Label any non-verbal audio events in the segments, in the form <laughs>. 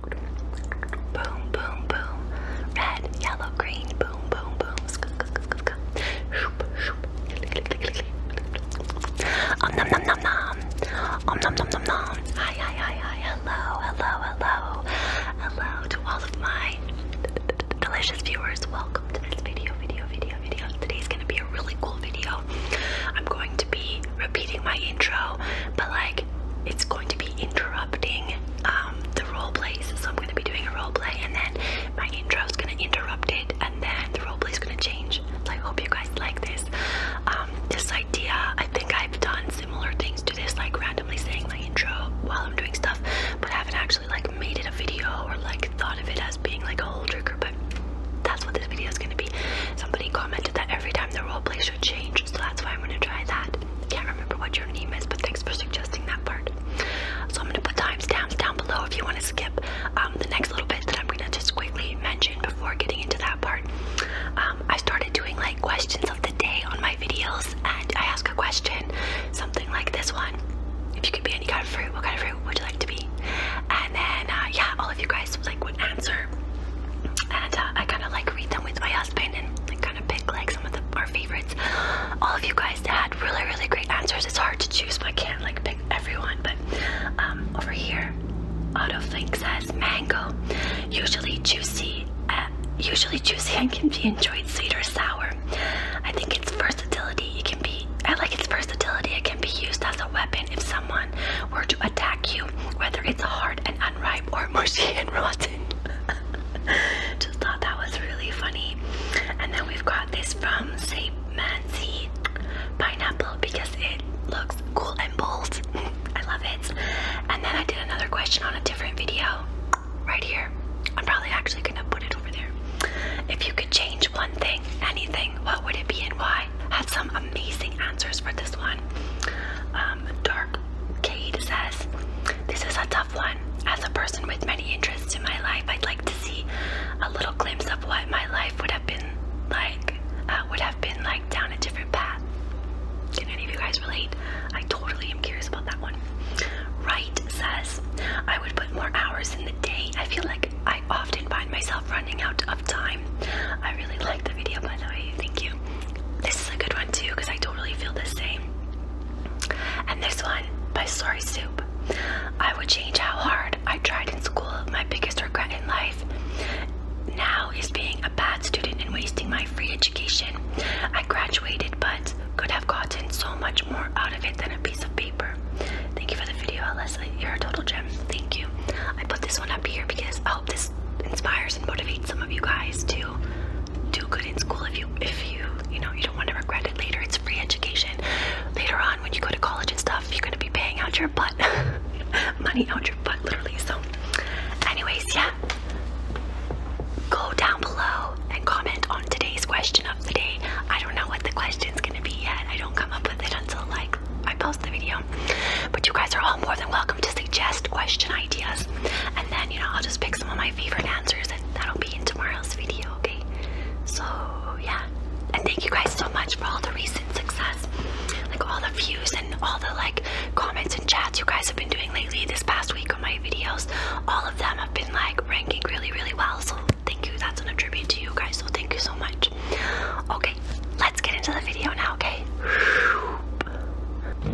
Boom, boom, boom. Red, yellow, green. Boom, boom, boom. nom, nom, nom, nom. nom, nom, nom, nom. Hi, hi, hi, hi. Hello, hello, hello. Hello to all of my delicious viewers. Welcome to this video, video, video, video. Today's gonna be a really cool video. I'm going to be repeating my intro, but like it's going to be interrupting um, the role plays. So I'm going to be doing a role play, and then my intro is going to interrupt it, and then the role play is going to change. So I hope you guys like this. Um, this idea, I think I've done similar things to this, like randomly saying my intro while I'm doing stuff, but I haven't actually like made it a video or like thought of it as being like a whole trigger. But that's what this video is going to be. Somebody commented that every time the role play should change, so that's why I'm going to try that that. Can't remember what your name is, but thanks for suggesting that part. So I'm gonna put timestamps down below if you want to skip um, the next little bit that I'm gonna just quickly mention before getting into that part. Um, I started doing like questions of the day on my videos, and I ask a question, something like this one. If you could be any kind of fruit, what kind of fruit would you like to be? And then, uh, yeah, all of you guys like would answer and uh, I kind of like read them with my husband and like kind of pick like some of our favorites. All of you guys had really, really great answers. It's hard to choose, but I can't like pick everyone. But um, over here, Autoflink says mango, usually juicy, uh, usually juicy and can be enjoyed sweet or sour. I think its versatility it can be. I like its versatility. It can be used as a weapon if someone were to attack you, whether it's hard and unripe or mushy and raw <laughs> Just thought that was really funny. And then we've got this from St. Mancy Pineapple because it looks cool and bold. <laughs> I love it. And then I did another question on a different video right here. I'm probably actually gonna put it over there. If you could change one thing, anything, what would it be and why? Had some amazing answers for this one. Um, dark Kate says, This is a tough one. As a person with many interests in my life, I'd like to see a little glimpse of what my life would have been like, uh, would have been like down a different path. Can any of you guys relate? I totally am curious about that one. Right says, I would put more hours in the day. I feel like I often find myself running out of time. I really like the video, by the way. Thank you. This is a good one too because I totally feel the same. And this one by Sorry Soup. I would change how hard I tried in school. My biggest regret in life now is being a bad student and wasting my free education. I graduated but could have gotten so much more out of it than a piece of paper. Thank you for the video, Leslie. You're a total gem. Thank you. I put this one up here because I hope this this inspires and motivates some of you guys to do good in school if you if you you know you don't want to regret it later it's free education later on when you go to college and stuff you're going to be paying out your butt <laughs> money out your butt literally so anyways yeah go down below and comment on today's question of the day i don't know what the question's going to be yet i don't come up with it until like i post the video but you guys are all more than welcome to suggest question ideas. And then, you know, I'll just pick some of my favorite answers and that'll be in tomorrow's video, okay? So, yeah. And thank you guys so much for all the recent success. Like all the views and all the like comments and chats you guys have been doing lately this past week on my videos. All of them have been like ranking really, really well. So thank you. That's an attribute to you guys. So thank you so much. Okay, let's get into the video now, okay?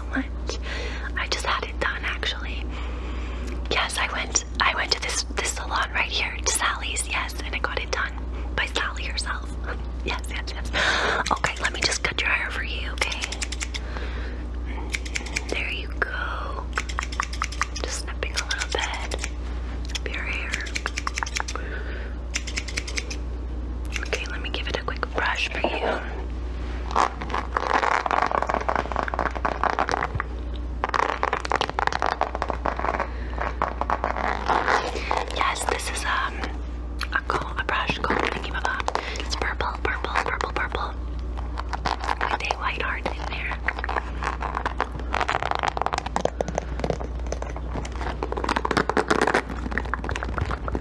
so much. I just had it done actually. Yes, I went I went to this this salon right here, to Sally's, yes, and I got it done by Sally herself. <laughs> yes, yes, yes. Okay, let me just cut your hair for you, okay? There you go. Just snipping a little bit your hair. Okay, let me give it a quick brush for you. Yes, this is um, a a brush comb. Thinking about It's purple, purple, purple, purple. With a white in there.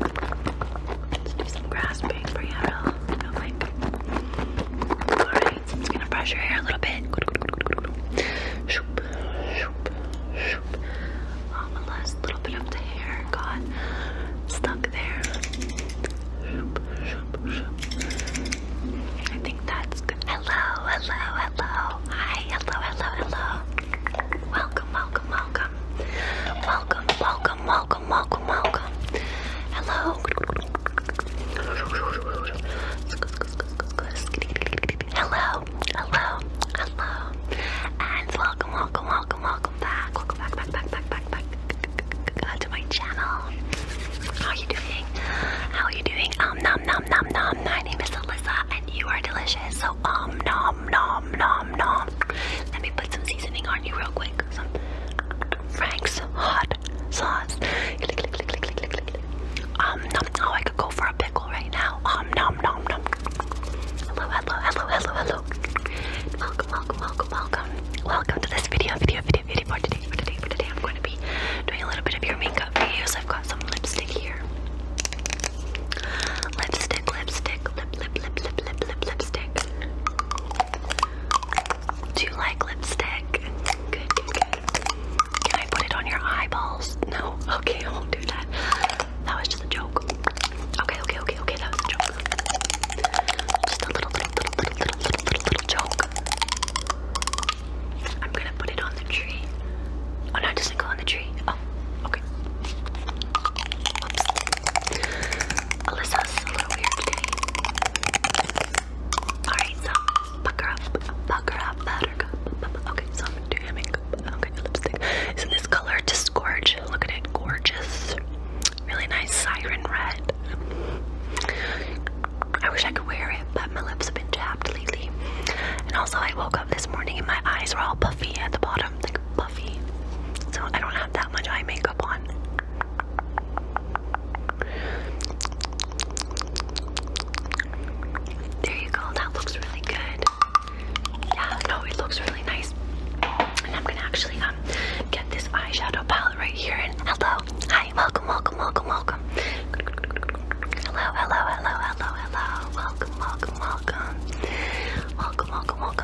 Let's do some grasping for Alright, I'm just gonna brush your hair a little bit. Shoop, shoop, shoop. Um, unless a little bit of the hair got stuck there. Shoop, shoop, shoop. I think that's good. Hello, hello, hello. Hi, hello, hello, hello. Welcome, welcome, welcome. Welcome, welcome welcome, welcome, welcome, welcome. Hello. Hello, hello, hello. And welcome, welcome, welcome, welcome back. Welcome back, back, back, back, back, back to my channel. How are you doing? How are you doing? Um nom nom nom nom. My name is Alyssa and you are delicious. So um nom nom nom nom nom. Let me put some seasoning on you real quick. Some Frank's hot sauce. Um, nom. Oh, I could go for a pickle right now. Um, nom nom nom. Hello, hello, hello, hello, hello. Welcome, welcome, welcome, welcome. Welcome to this video, video, video, video for today. For today, for today, I'm going to be doing a little bit of your makeup videos. I've got some lipstick here. Lipstick, lipstick, lip, lip, lip, lip, lipstick. Do you like lipstick? Good, good, good. Can I put it on your eyeballs? No? <laughs> Okay, I won't do that. That was just a joke. Okay, okay, okay, okay, that was a joke. Just a little, little, little, little, little, little, joke. I'm gonna put it on the tree. Oh, no, it doesn't on the tree. Oh, okay. Alyssa's oh, a little weird today. Alright, so pucker up, pucker up, buttercup. Okay, so I'm doing a makeup. Okay, lipstick. Isn't this color just gorge? Look at it, gorgeous. Really nice siren red. I wish I could wear it, but my lips have been chapped lately. And also, I woke up this morning and my eyes were all puffy at the bottom, like puffy. So I don't have that much eye makeup. There you go, that looks really good. Yeah, no, it looks really nice. And I'm gonna actually um get this eyeshadow palette right here and hello, hi, welcome, welcome, welcome, welcome. Hello, hello, hello, hello, hello. welcome, welcome. Welcome, welcome, welcome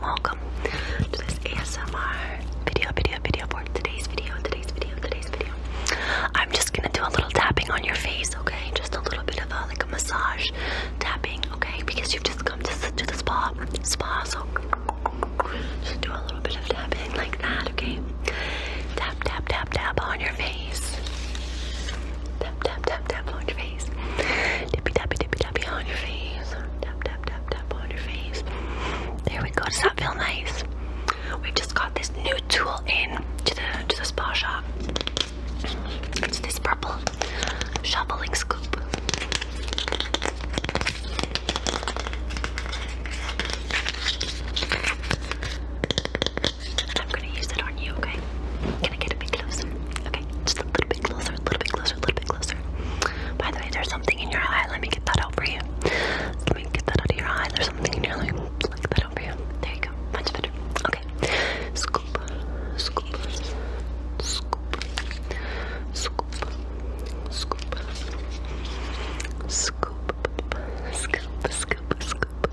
welcome, to this ASMR video, video, video for today's video, today's video, today's video. I'm just gonna do a little tapping on your face, okay? Just a little bit of like a massage tapping, okay? Because you've just come to, to the spa, spa, so just do a little bit of tapping like that, okay? Tap, tap, tap, tap on your face. Tap, tap, tap, tap on your face. Tippy, tappy, tippy, tappy on your face. Tap, tap, tap. There we go. Does that feel nice? We just got this new tool in to the to the spa shop. It's this purple shoveling scoop. I'm gonna use it on you, okay? Can I get a bit closer? Okay, just a little bit closer, a little bit closer closer, a little bit closer. By the way, there's something in your eye. Let me get that out for you. Let me get that out of your eye. There's something in your eye. Pluck that out for you. There you go. Much better. Okay. Scoop. Scoop. Scoop. Scoop. Scoop. Scoop. Scoop. Scoop. Scoop. Scoop.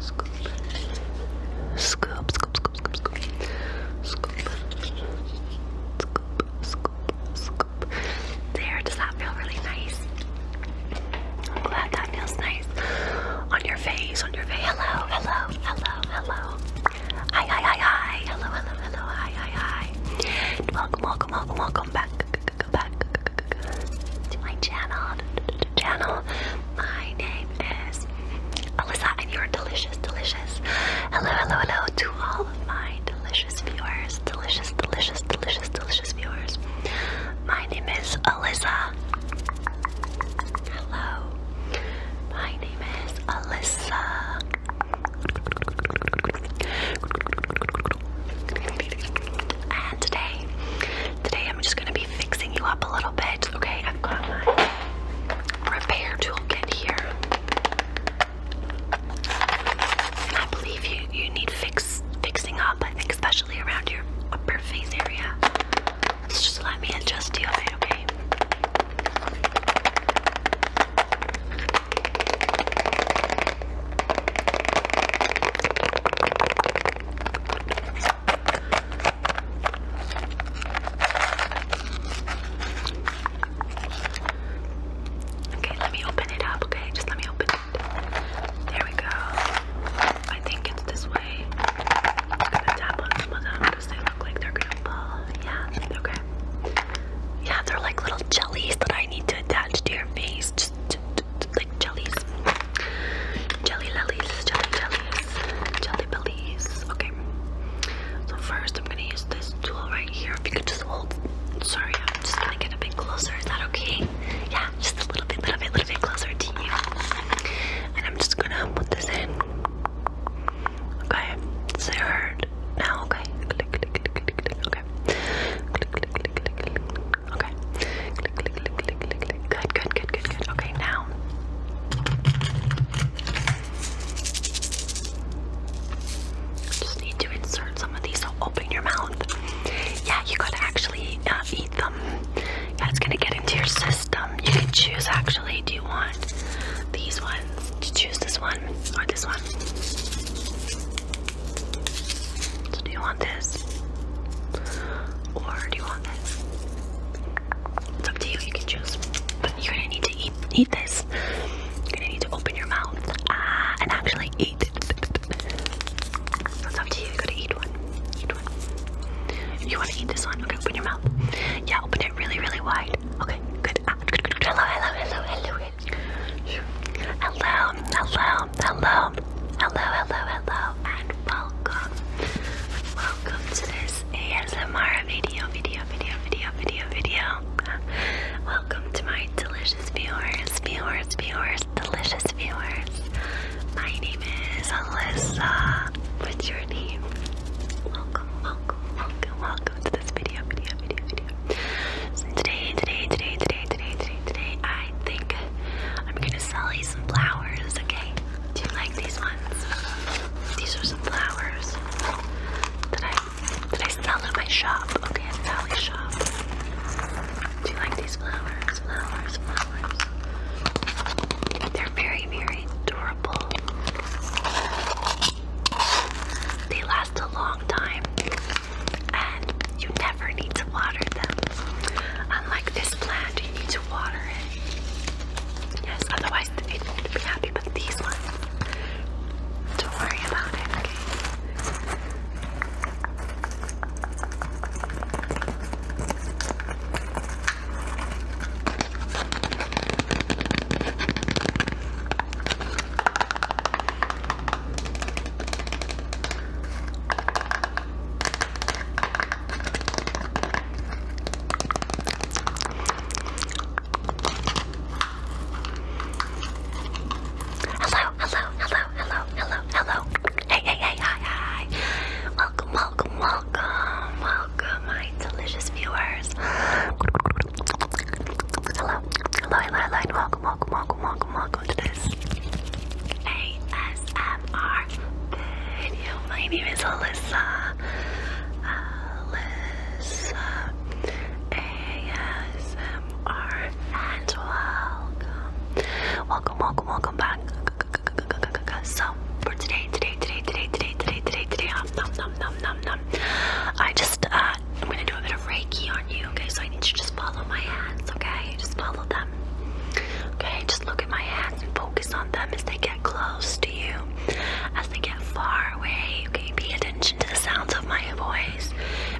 Scoop. Scoop. Scoop. Scoop. There, does that feel really nice? I'm glad that feels nice. On your face, on your face. Hello, hello, hello, hello. Hi, hi, hi, hi. Hello, hello, hello, hi, hi, hi. Welcome, welcome, welcome, welcome back. Back to my channel. Channel. My name name is Alyssa, and you're delicious, delicious. Hello, hello, hello to all of my delicious viewers, delicious, delicious, delicious, delicious viewers. My name is Alyssa. Hello. My name is Alyssa. And today, today I'm just gonna be fixing you up a little bit. Okay, I've got my repair toolkit here. And I believe you you need fix fixing up, I think especially around your upper face area. So just let me adjust you a okay? Okay, let me open it up, okay? Just let me open it. There we go. I think it's this way. I'm gonna tap on some of them because they look like they're going Yeah, okay. Yeah, they're like little jellies that I need to attach to your face. just like jellies. Jelly lilies, jelly jellies jelly bellies. Okay. So first I'm gonna use this tool right here. If you could just hold sorry, I'm just gonna get a bit closer. Is that okay? Yeah, just a little bit, little bit, little bit closer to you. And I'm just gonna put this in. Okay. Does it hurt? Now okay. Click click click click click okay. Click click click click click okay. Click click click click click click. Good, good, good, good, good. Okay, now just need to insert some of these. So open your mouth. Yeah, you gotta actually uh, eat them. That's gonna get into your system. You can choose actually. Do you want these ones? To choose this one or this one? So do you want this or do you want this? It's up to you, you can choose. But you're gonna need to eat eat this. You're gonna need to open your mouth ah, and actually eat it. So it's up to you, you gotta eat one. Eat one. You wanna eat this one? Okay, open your mouth. Yeah, open it really, really wide. Okay, good. Ah, hello, hello. Hello, hello, hello, hello, hello, hello, and welcome. Welcome to this Mars ASMR video, video, video, video, video, video. Welcome to my delicious viewers, viewers, viewers, delicious viewers. My name is Alyssa. What's your name? Welcome, welcome, welcome, welcome to this video, video, video, video. So today, today, today, today, today, today, today, I think I'm gonna sell you some flowers, okay? Do you like these ones? ones. These are some flowers that I that I sell at my shop. Okay, at Valley Shop. Do you like these flowers? Flowers, flowers. They're very, very durable. They last a long time and you never need to water them. Unlike this plant, you need to water it. Yes, otherwise I need to be happy, but these ones. Don't worry about it, Hello, hello, hello, hello, hello, hello. Hey, hey, hey, hi, hi. Welcome, welcome, welcome, welcome, my delicious viewers. Hello, hello, hello, hello, and welcome, welcome, welcome, welcome, welcome to this ASMR video. My name is Alyssa. Alyssa ASMR, and welcome. Welcome, welcome, welcome back. So, for today, today, today, today, today, today, today, today, um, num, num, num, num, num. I just, uh, I'm gonna do a bit of Reiki on you, okay? So I need you to just follow my hands, okay? Just follow them. Okay, just look at my hands and focus on them as they get get close to you, as they get far away, okay? Pay attention to the sounds of my voice.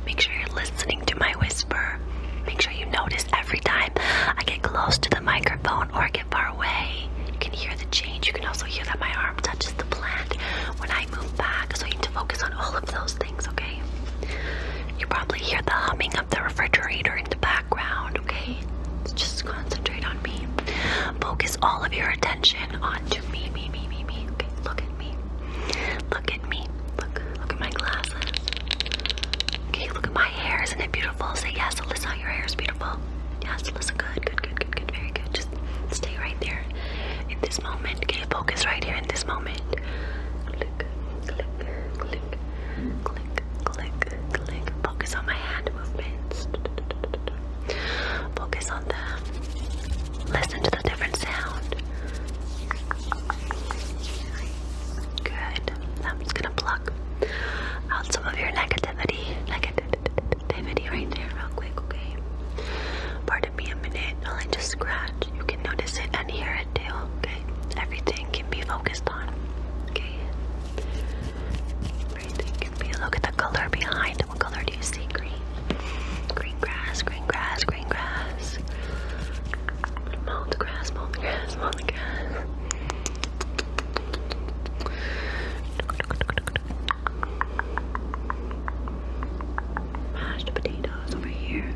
Make sure you're listening to my whisper. Make sure you notice every time I get close to the microphone or get far away. You can hear the change. You can also hear that my arm touches the plant when I move back. So you need to focus on all of those things, okay? You probably hear the humming of the refrigerator in the background, okay? Just concentrate on me. Focus all of your attention attention onto me, me, me, me, me. Okay, look at me. Look at me. Look, look at my glasses. Okay, look at my hair. Isn't it beautiful? Say yes, Alyssa, your hair is beautiful. Yes, Alyssa, good, good, good, good, good, very good. Just stay right there in this moment. Okay, focus right here in this moment. Click, click, click, click, click, click. Focus on my hand movements. Focus on them. Listen to the different sound. Good. I'm just gonna pluck out some of your negativity. Negativity right there, real quick, okay? Part Pardon me a minute while I just scratch. You can notice it and hear it too, okay? Everything can be focused on, okay? Everything can Look at the color behind What color do you see? Green. Green grass, green grass, green grass. Mow the grass, mow the grass, mow the grass. Mashed potatoes over here.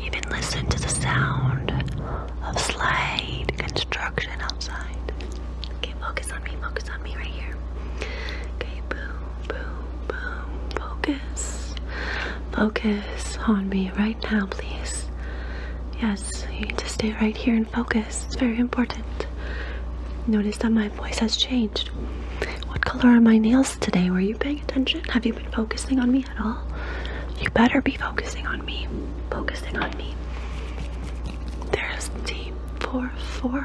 Even listen to the sound of slide construction outside. Okay, well, Focus on me, right here. Okay, boom, boom, boom. Focus. Focus on me right now, please. Yes, you need to stay right here and focus. It's very important. Notice that my voice has changed. What color are my nails today? Were you paying attention? Have you been focusing on me at all? You better be focusing on me. Focusing on me. There's the four, four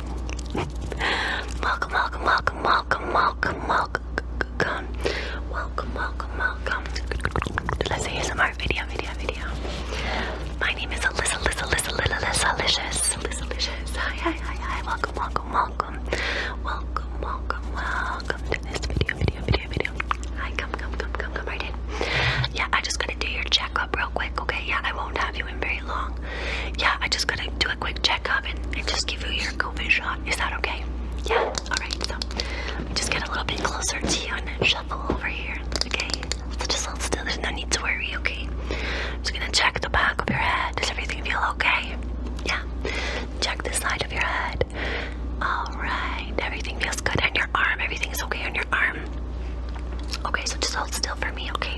welcome, welcome, welcome, welcome, welcome, welcome, welcome, welcome, welcome. Let's hear some more video, video, video. My name is Alyssa, Alyssa, Alyssa, Alyssa, Alyssa, Alyssa, Alyssa. Hi, hi, hi, hi. Welcome, welcome, welcome, welcome, welcome, welcome to this video, video, video, video. Hi, come, come, come, come, come right in. Yeah, I just gotta do your check real quick, okay? Yeah, I won't have you in very long. Yeah, I just gotta do a quick checkup and, and just give you your COVID shot. Is that okay? Yeah, alright, so just get a little bit closer to you and shuffle over here, okay? So just hold still, there's no need to worry, okay? I'm just gonna check the back of your head. Does everything feel okay? Yeah. Check the side of your head. Alright, everything feels good. And your arm, Everything is okay on your arm. Okay, so just hold still for me, okay?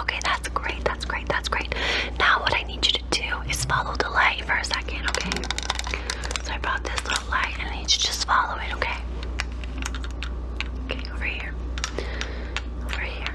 Okay, that's great. That's great. That's great. Now, what I need you to do is follow the light for a second, okay? So, I brought this little light and I need you to just follow it, okay? Okay, over here. Over here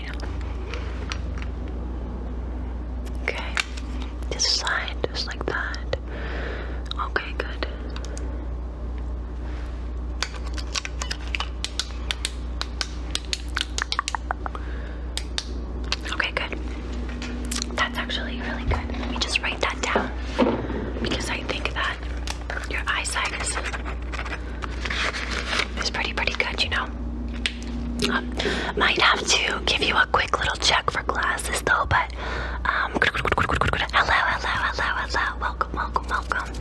Okay. This side, just like that. Okay, good. Okay, good. That's actually really good. Let me just write that down because I think that your eyesight is, pretty, pretty good, you know. Um, might have to give you a quick little check for glasses though, but um, hello, hello, hello, hello, welcome, welcome, welcome,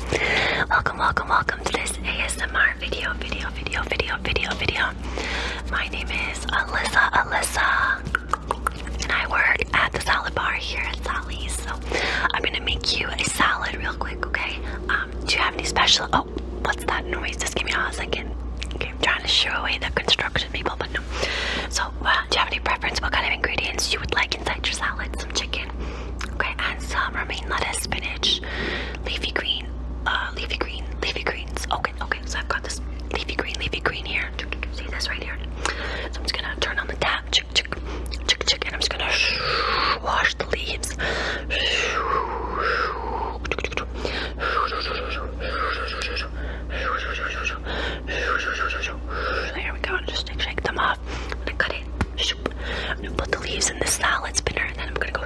welcome, welcome, welcome to this ASMR video, video, video, video, video, video. My name is Alyssa, Alyssa, and I work at the salad bar here at Sally's. So I'm gonna make you a salad real quick, okay? Um, do you have any special? Oh, what's that noise? Just give me a second. Okay, I'm trying to shoo away the construction people, but no. So, uh, do you have any preference? What kind of ingredients you would like inside your salad? Some chicken, okay, and some romaine lettuce, spinach, leafy green, uh, leafy green, leafy greens. Okay, okay. So I've got this leafy green, leafy green here. See this right here. So I'm just gonna turn on the tap chick, chick, chick, and I'm just gonna wash the leaves. There we go. And just shake them off. I'm gonna cut it. I'm gonna put the leaves in the salad spinner, and then I'm gonna go.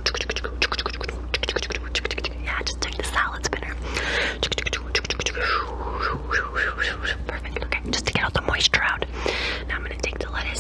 Yeah, just take the salad spinner. Perfect. Okay, just to get all the moisture out. Now I'm gonna take the lettuce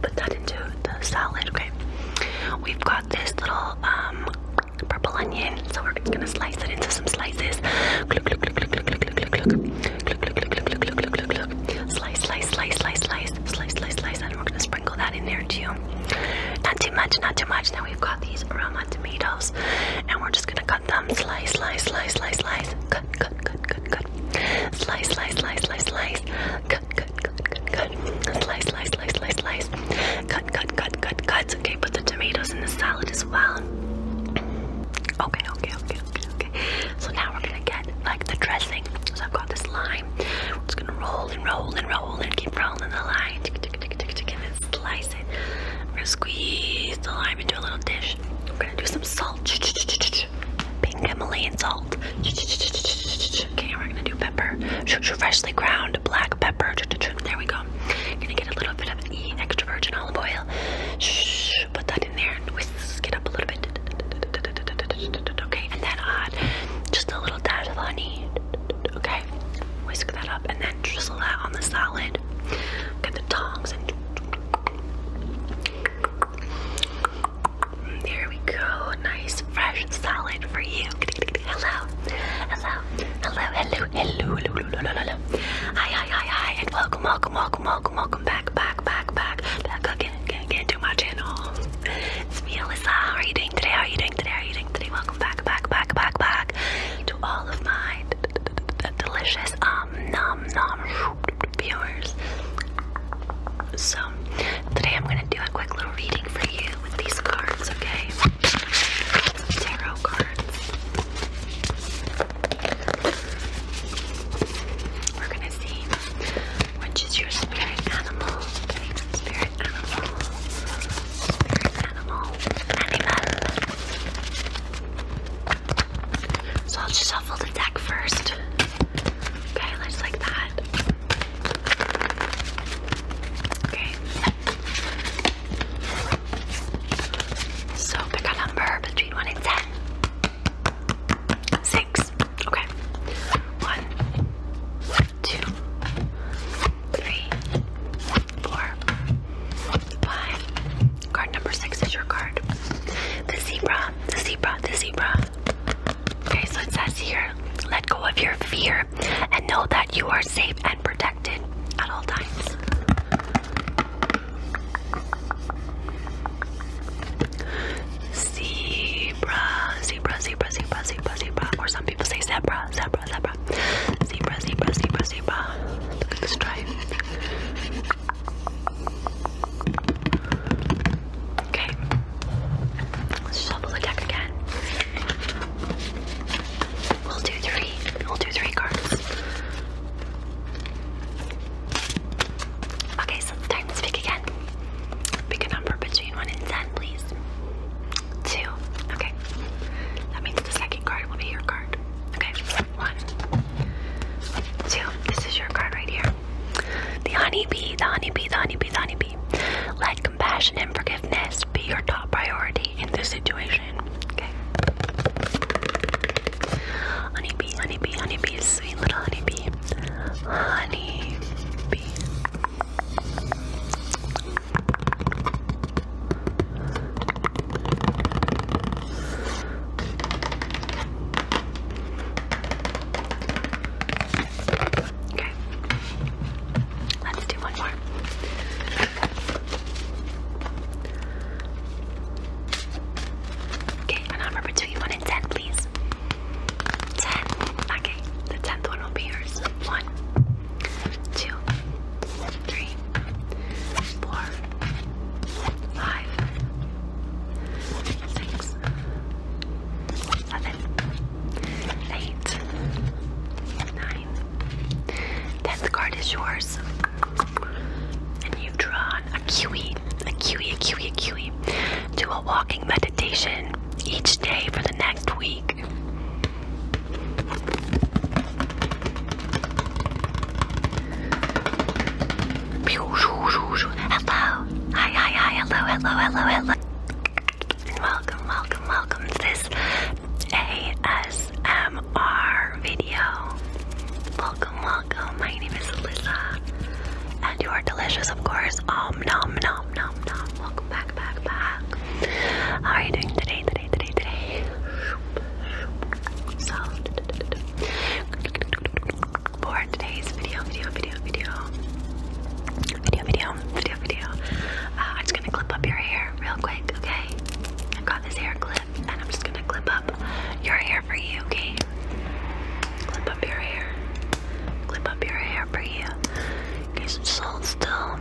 put that into the salad. Okay, we've got this little purple onion, so we're just gonna slice it into some slices. Slice, slice, slice, slice, slice, slice, slice, slice, and we're gonna sprinkle that in there too. Not too much, not too much. Now we've got these Roma tomatoes, and we're just gonna cut them. Slice, slice, slice, slice, slice cut, cut, cut, cut, cut. Slice, slice, slice, slice, slice. Cut, cut, cut, cut, cut. Slice, slice, slice, slice, slice. Cut, cut, cut, cut, cut. Okay, put the tomatoes in the salad as well. Okay, okay, okay, okay, okay. So now we're gonna get like the dressing. So I've got this lime. We're just gonna roll and roll and roll and keep rolling the lime. Tick, tick, tick, tick, tick, and then slice it. We're gonna squeeze the lime into a little dish. We're gonna do some salt. Ch -ch -ch -ch -ch pink Himalayan salt. Okay, we're gonna do pepper. Freshly ground black pepper. There we go. Gonna get a little bit of extra virgin olive oil. Put that in there and whisk it up a little bit. Okay, and then add just a little dash of honey. Okay, whisk that up and then drizzle that on the salad. Get the tongs and there we go. Nice, fresh salad for you. Hello. Hello. Hello. Hello. Hello. Hello. Hello. Hello. Hello. Hi. Hi. Hi. Hi. And welcome. Welcome. Welcome. Welcome. Welcome back. Back. Back. Back. Back again. Again. Again. To my channel. It's me, Alyssa. How are you doing today? How are you doing today? How are you doing today? Welcome back. Back. Back. Back. Back. To all of my delicious um nom nom viewers. So today I'm gonna do a quick little reading for you with these cards, okay? Tarot cards. We're gonna see which is your spirit animal. spirit animal. Spirit animal. Animal. So I'll just shuffle the deck first. Okay, let like that. Okay. So pick a number between one and ten. Six. Okay. One, two, three, four, five. Card number six is your card. The zebra, the zebra, the zebra. Okay, so it says here let go of your fear and know that you are safe and protected at all times. Zebra, zebra, zebra, zebra, zebra, zebra, or some people say zebra, zebra, zebra, zebra, zebra, zebra, zebra. Look at this stripe. Okay. Let's shuffle the deck again. We'll do three. We'll do three cards. Okay, so it's time to speak again. Pick a number between 1 and 10, please. 2. Okay. That means the second card will be your card. Okay. 1. 2. This is your card right here. The honeybee, the honeybee, the honeybee, the honeybee. Let compassion and forgiveness be your top priority in this situation. Okay. Honeybee, honeybee, honeybee, sweet little honeybee. Honeybee. Okay. Let's do one more. Okay, number between one and ten, please. Ten. Okay, the tenth one will be yours. One, two, three, four, five, six, seven, eight, nine. Tenth card is yours. And you've drawn a kiwi, a kiwi, a kiwi, a kiwi. Do a walking meditation each day for the next week. Hello. Hi, hi, hi. Hello, hello, hello, hello. And welcome, welcome, welcome to this ASMR video. Welcome, welcome. My name is Alyssa. And you are delicious, of course. Om nom nom nom nom. Welcome back, back, back. How are you doing today, today, today, today? So for today's video, video, video, video, video, video, video, video. Uh, I'm just gonna clip up your hair real quick, okay? I got this hair clip, and I'm just gonna clip up your hair for you, okay? Clip up your hair. Clip up your hair for you. Okay, so just hold still.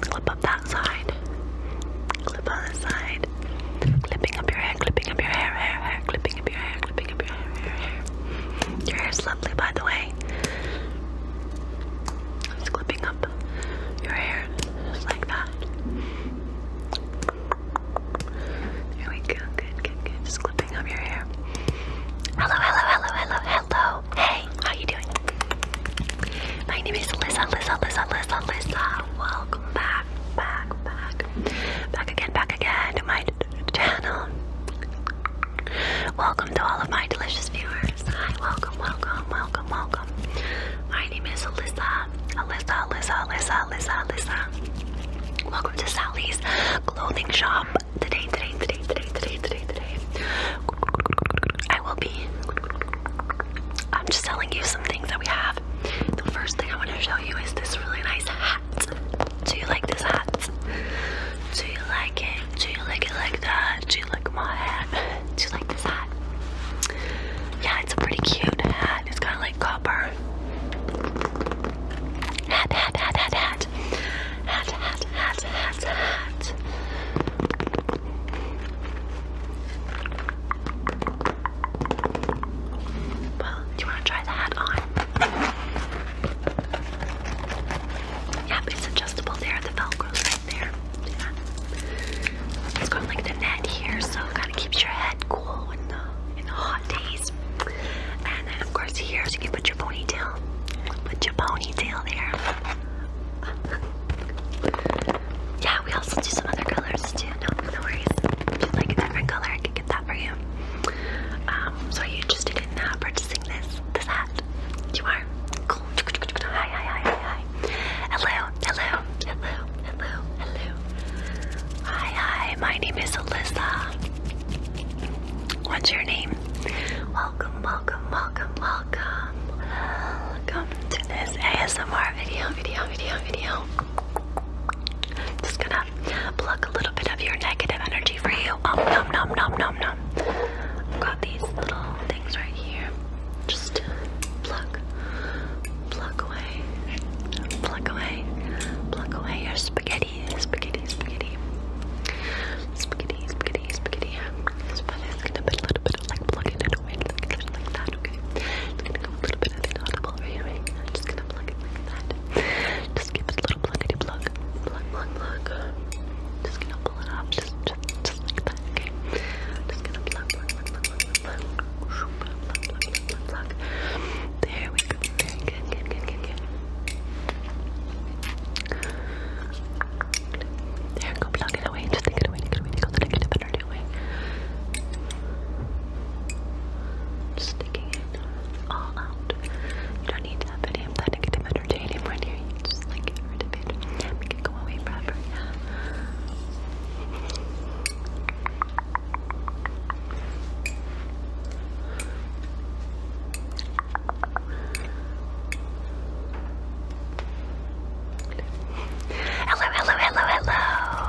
Clip up that side. Clip on this side. Clipping up your hair, clipping up your hair, hair, hair, clipping your hair, is lovely, by the way. I'm clipping up your hair, just like that. There we go, good, good, good. Just clipping up your hair. Hello, hello, hello, hello, hello. Hey, how you doing? My name is Lisa, Lisa, Lisa, Lisa, Lisa. Welcome back, back, back. Back again, back again to my channel. Welcome to all of my delicious viewers. Hi, welcome, welcome, welcome, welcome. My name is Alyssa. Alyssa, Alyssa, Alyssa, Alyssa, Alyssa. Welcome to Sally's clothing shop. Today, today, today, today, today, today, today. I will be. I'm just telling you some things that we have. The first thing I want to show you is this really nice hat hat? Do you like this hat? Do you like it? Do you like it like that? Do you like my hat? Do you like this hat? Yeah, it's a pretty cute hat. It's kind of like copper. Hat, hat, hat, hat, hat. Hat, hat, hat, hat, hat. Well, do you want to try the hat on? Yep, it's adjustable there. The velcro's right there. Yeah. It's got like the net here, so kind of keeps your head cool in the in the hot days. And then of course here, so you can put your ponytail. Put your ponytail there. yeah, we also do some other colors too. No, no worries. If you like a different color, that for you. Um, so are you interested in uh, purchasing this this hat? You are? Cool. hi. Hello, hello, hello, hello, hello. Hi, hi, my name is Alyssa. What's your name? Welcome, welcome, welcome, welcome. Welcome to this ASMR video, video, video, video. Just gonna pluck a little bit of your negative energy for you. Um, nom nom nom nom I've got these little things right here. Just pluck, pluck away, pluck away, pluck away your spaghetti, spaghetti, spaghetti, spaghetti, spaghetti, spaghetti. It's gonna put a little bit of like plucking it away, like, like that. Okay, it's gonna go a little bit of inaudible right away. i just gonna pluck it like that. Just give it a little pluckety plug plug, plug, plug, Just gonna pull it off, just, just, just like that, okay? Just gonna plug, plug, plug, plug, plug, plug, plug, plug, plug, There we go. Good, good, good, good, good. There, go plug away. Just take it away, take it away, take all the negative energy away. Just it all out. You don't need to have any negative energy here. You just like get rid of it. Make it go away forever. Hello, hello, hello, hello.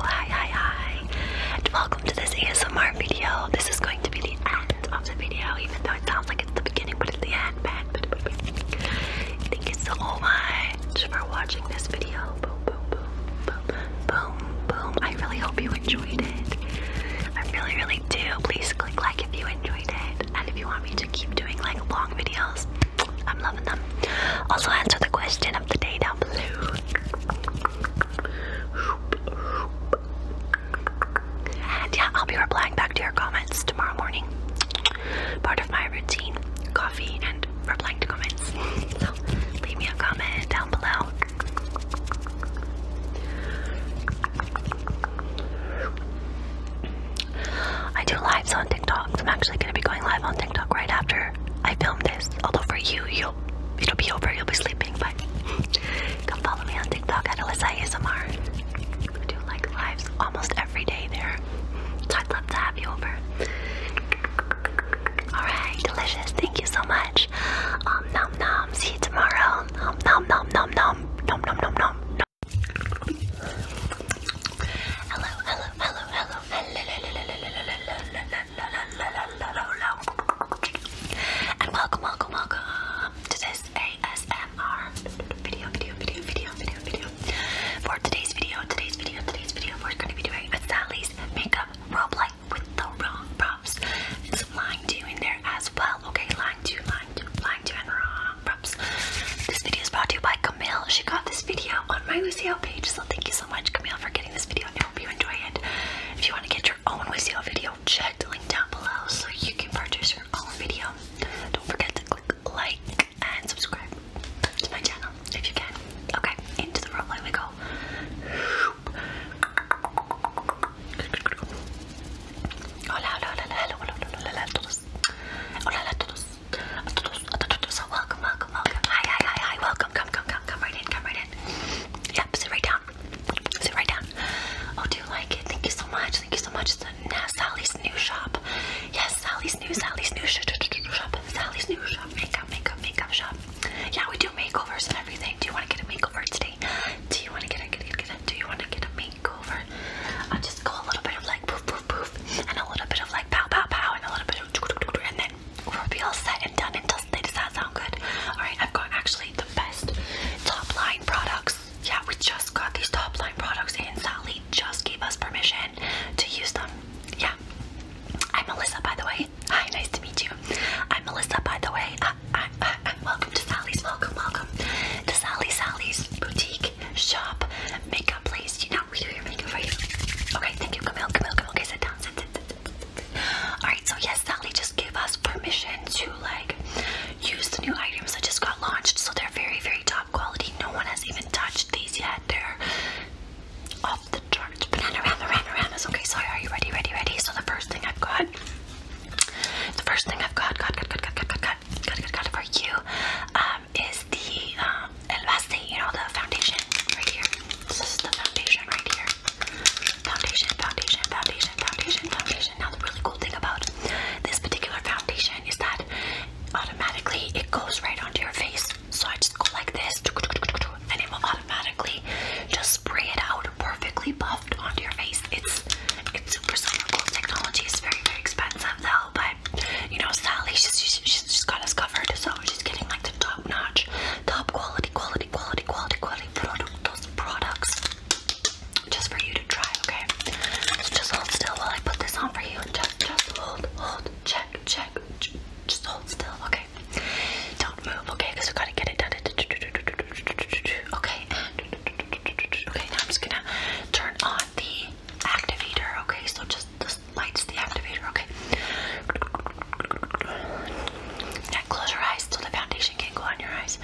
Hi, hi, hi. And welcome to this ASMR video. This is going to be the end of the video, even though it sounds like it's the beginning, but it's the end, Thank you so much for watching this video. Boom, boom, boom, boom, boom, boom. I really hope you enjoyed it. I really, really do. Please click like if you enjoyed it, and if you want me to keep doing like long videos, I'm loving them. Also, answer the question of the day down below. And yeah, I'll be replying back to your comments tomorrow morning. Part of my routine coffee and replying to comments. <laughs> So leave me a comment down below. I do lives on TikTok. I'm actually gonna be going live on TikTok right after I film this. Although for you, you'll it'll be over, you'll be sleeping, but Come follow me on TikTok at Alyssa ASMR. We do like lives almost every day there. So I'd love to have you over. Alright, delicious. Thank you so much. Um, nom nom. See you tomorrow. Um, nom nom nom nom. Nom nom nom nom. Hello, hello, hello, hello. hello, hello, hello, hello, hello, hello, hello, hello, hello, hello, hello. And welcome, welcome, welcome to this ASMR video, video, video, video, video, video. For today's video, today's video, today's video, we're going to be doing a Sally's makeup roleplay with the wrong props. It's line two in there as well. Okay, line two, line two, line two, and wrong props. This video is brought to you by Camille. She got this video on my Lucio page, so thank you so much, Camille, for getting this video. I hope you enjoy it. If you want to get your Oh, when we see our video, check the link down below so you can purchase your own video. Don't forget to click like and subscribe to my channel if you can. Okay, into the roleplay we go. Hola, hola, hola, hola, hola, hola, hola, a todos. Hola, a todos. A todos, a todos. Welcome, welcome, welcome. Hi, hi, hi, hi. Welcome. Come, come, come, come right in, come right in. Yep, sit right down. Sit right down. Oh, do you like it? Thank you so much. Thank you so much. It's a Sally's new shop. Yes, Sally's new, Sally's new shop. Sally's new shop. Makeup, makeup, makeup shop. Yeah, we do makeovers and everything. Do you want to get a makeover today? Do you want to get a get a, get a do you want to get a makeover? I'll uh, just go a little bit of like poof poof poof and a little bit of like pow pow pow and a little bit of and then we'll be all set and done and dusted. Does that sound good? Alright, I've got actually best top line products. Yeah, we just got these top line products and Sally just gave us permission to use them. Yeah. I'm Melissa, by the way. Hi, nice to meet you. I'm Melissa, by the way. I, I, welcome to Sally's. Welcome, welcome to Sally Sally's boutique shop makeup place. You know, we do your makeup for you. Okay, thank you. Camille, Camille, Camille. Okay, sit down. Sit, sit, sit, sit. Alright, so yes, Sally just gave us permission to like use the new items that just got launched. So they're very, very top quality. No one has even touched these yet. They're off the charts. Banana rama rama ramas. Okay, sorry, are you ready? Ready, ready? So the first thing I've got the first thing I've got, got, got, got, got, got, got, got, got, got for you, um, is the um El Base, you know, the foundation right here. This is the foundation right here. Foundation, foundation, foundation, foundation, foundation. Now, the really cool thing about this particular foundation is that automatically it goes right onto your face. So I just go like this, and it will automatically just spray it out perfectly buffed onto your face. It's it's super cool technology. It's very very expensive though, but you know Sally, she's she's, just got us covered. So she's getting like the top notch, top quality, quality, quality, quality, quality product, products just for you to try, okay? just hold still while I put this on for you. Just, just hold, hold, check, check, just hold still, okay? Don't move, okay? Because we gotta get it done. Okay, okay. Now I'm just gonna turn on the activator, okay? So just this lights the activator, okay? close your eyes so the foundation can not go on your eyes.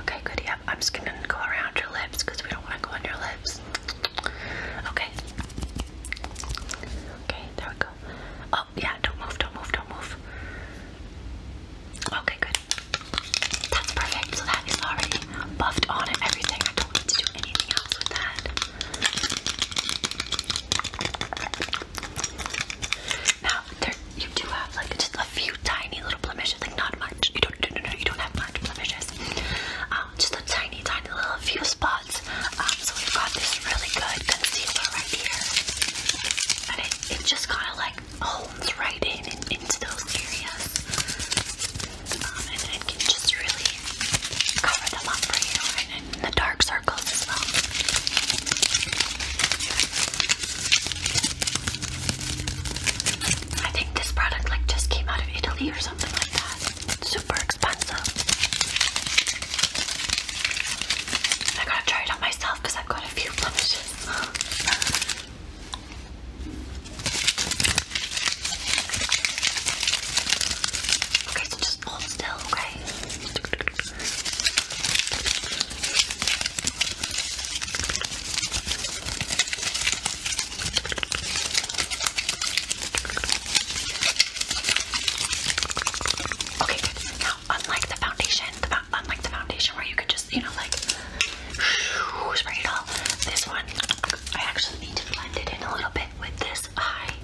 Okay, good. Yep, I'm just gonna go around your lips because we don't want to go on your lips. Okay. Okay, there we go. Oh, yeah, don't move, don't move, don't move. Okay, good. That's perfect. So that is already buffed on and everything. I don't need to do anything else with that. Now, there you do have like just a few tiny little blemishes, like not much. You don't, no, no, no, you don't have much blemishes. Um, just a tiny, tiny little few spots. Um, so we've got this really good concealer right here, and it, it just kind of like hones right in into those areas, um, and then it can just really cover them up for you, and the dark circles as well. I think this product like just came out of Italy or something like that. It's super expensive. I gotta try it on myself because I've got a few blemishes. Okay, so just hold still, okay? Okay, Now, unlike the foundation, unlike the foundation where you could just, you know, like spray it all, this one I actually need to blend it in a little bit with this high,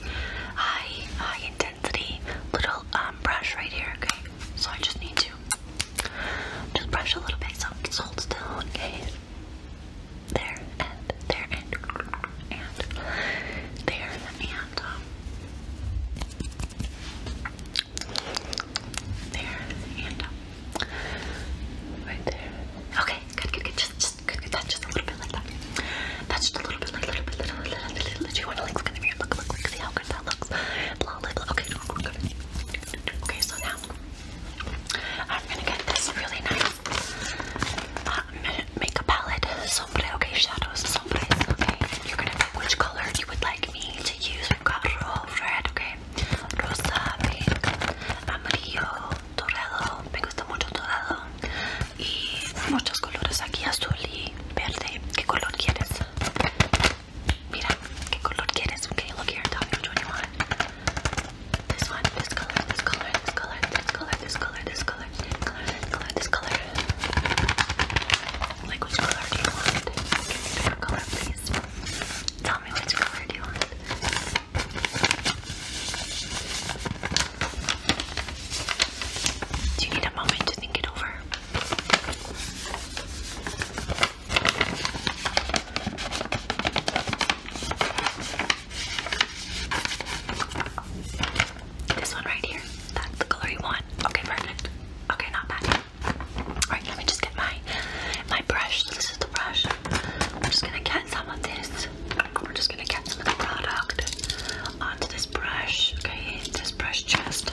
high, high intensity little um, brush right here. Okay, so I just need to just brush a little bit, so just hold still, okay? There, and there, and, there, and, um, there, and, um, right there. Okay, good, good, just, just, good, good, that's just a little bit like that. That's just a little bit, like, little bit, little, little, little, little, do you want to, look in the mirror, look, look, look, see Okay, so now I'm gonna get this really nice uh, makeup palette, sombre, okay, shadows, sombres, okay. You're gonna pick which color you would like me to use. We've got red, okay, rosa, pink, amarillo, dorado, me gusta mucho dorado, y muchos colores aquí, azul y verde. ¿Qué color quieres? Mira, ¿qué color look here, tell me This one, this color, this color, this color, this color, this color, this color, this color, this color, which color do you want? Favorite color, please. Tell me which color do you want. Do you need a moment to think it over? This one right here. That's the color you want. Okay, perfect. Okay, not bad. Alright, let me just get my my brush. This is the brush. I'm just gonna get some of this. We're just gonna get some of the product onto this brush. Okay, this brush just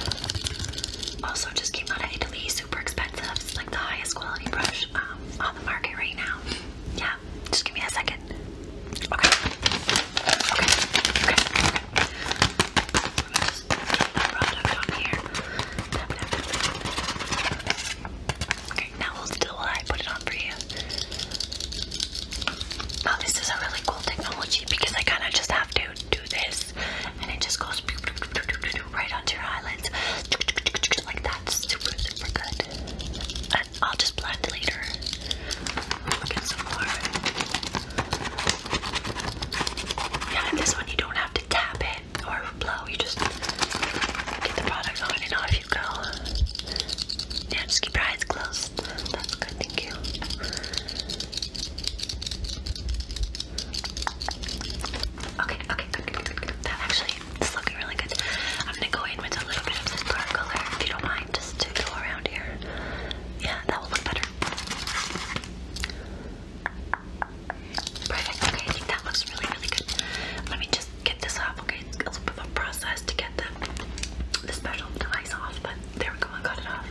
also just came out of Italy, super expensive. like the highest quality brush um, on the market right now. Yeah, just give me a second. Okay. Okay. Okay. okay. Just get the product on here. Tap, tap, tap. Okay, now hold still while I put it on for you. Oh, this is a really cool technology because I kind of just have to do this this and it just goes right onto your eyelids like that. Super, super good. And I'll just blend later. Get some more. Yeah, and this one you don't have to tap it or blow. You just get the product on and off you go. Yeah, just keep your eyes closed. That's good, thank you. Okay, okay, good, That actually is looking really good. I'm gonna go in with a little bit of this dark color, if you don't mind, just to go around here. Yeah, that will look better. Perfect. Okay, I think that looks really, really good. Let me just get this off. Okay, it's a little bit of a process to get the special device off, but there we go. I got it off.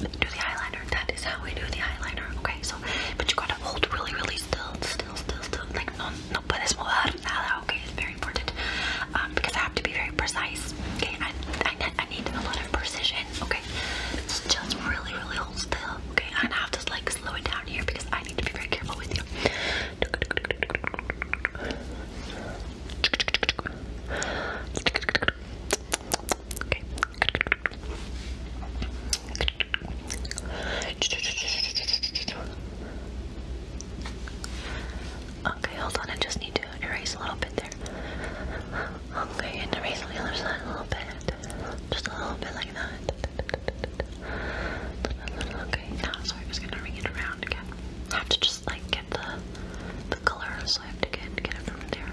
do the eyeliner. That is how we do the eyeliner. Okay, so but you gotta hold really, really still, still, still, still. Like no, no puedes mover nada. Okay, it's very important um, because I have to be very precise. Okay, I, I, need a lot of precision. Okay, it's just really, really hold still. Okay, and I have to like slow it down here because I need to be very careful with you. Okay. Okay, hold on. I just need to erase a little bit there. Okay, and erase on the other side a little bit. Just a little bit like that. Okay, now sorry, I'm just gonna ring it around again. I have to just like the the color, so I have to get get it from there.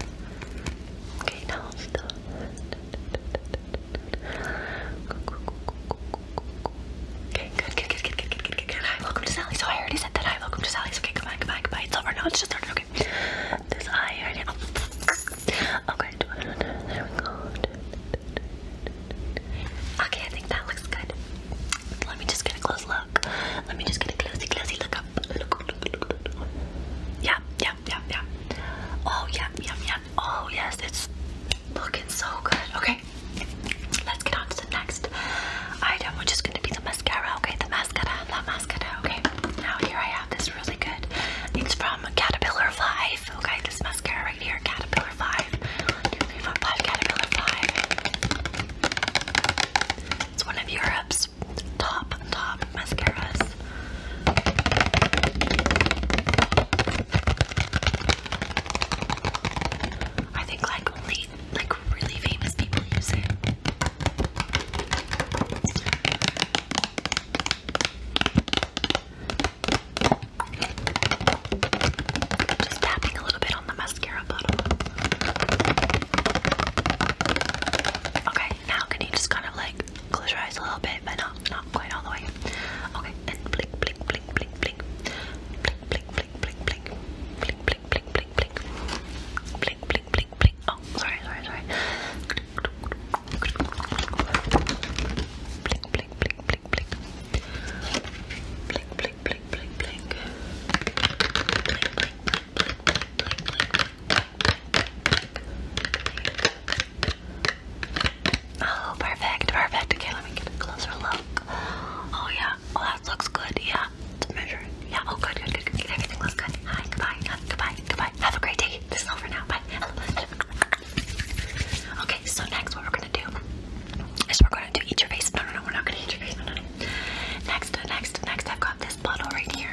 Okay, now Okay, good, good, good, good, good, good, good, good, Hi, welcome to Sally's. So I already said that. Hi, welcome to Sally's. Okay, come goodbye, goodbye, goodbye. It's over. No, it's just starting. Okay. This eye already. Oh, okay, there we go. Okay, I think that looks good. Let me just get a close look look. Let me just get a closey, closey look up. Look, look, look, look. Yeah, yeah, yeah, yeah. Oh, yeah, yeah, yeah. Oh, yes, it's looking so good. Okay, let's get on to the next item, which is going to be the mascara. Okay, the mascara, the mascara. Okay, now here I have this really good. It's from Caterpillar 5. Okay, this mascara right here, Caterpillar 5. five, Caterpillar 5. It's one of Europe's top top mascaras. I think like only like really famous people use it. just tapping a little bit on the mascara. Okay, now can you just kind of like close your eyes a little bit, but not not quite all the way. Okay, and blink, blink, blink, blink, blink, blink, blink, blink, blink, blink, blink, blink, blink, blink, blink, blink, blink, blink, blink. Oh, sorry, sorry, sorry. Blink, blink, blink, blink, blink. Blink, blink, blink, blink, blink. Blink, blink, blink, Oh, perfect, perfect. Okay, let me get a closer look. Oh, yeah. Oh, that looks good. Yeah, it's measuring. Yeah, oh, good, good, good, good. good. Everything looks good. Hi, goodbye, hi, goodbye, goodbye. Have a great day. This is over now. Bye. Okay, so next, what we're gonna do is we're gonna do eat your face. No, no, no, we're not gonna eat your face. No, no, no. Next, next, next, I've got this bottle right here.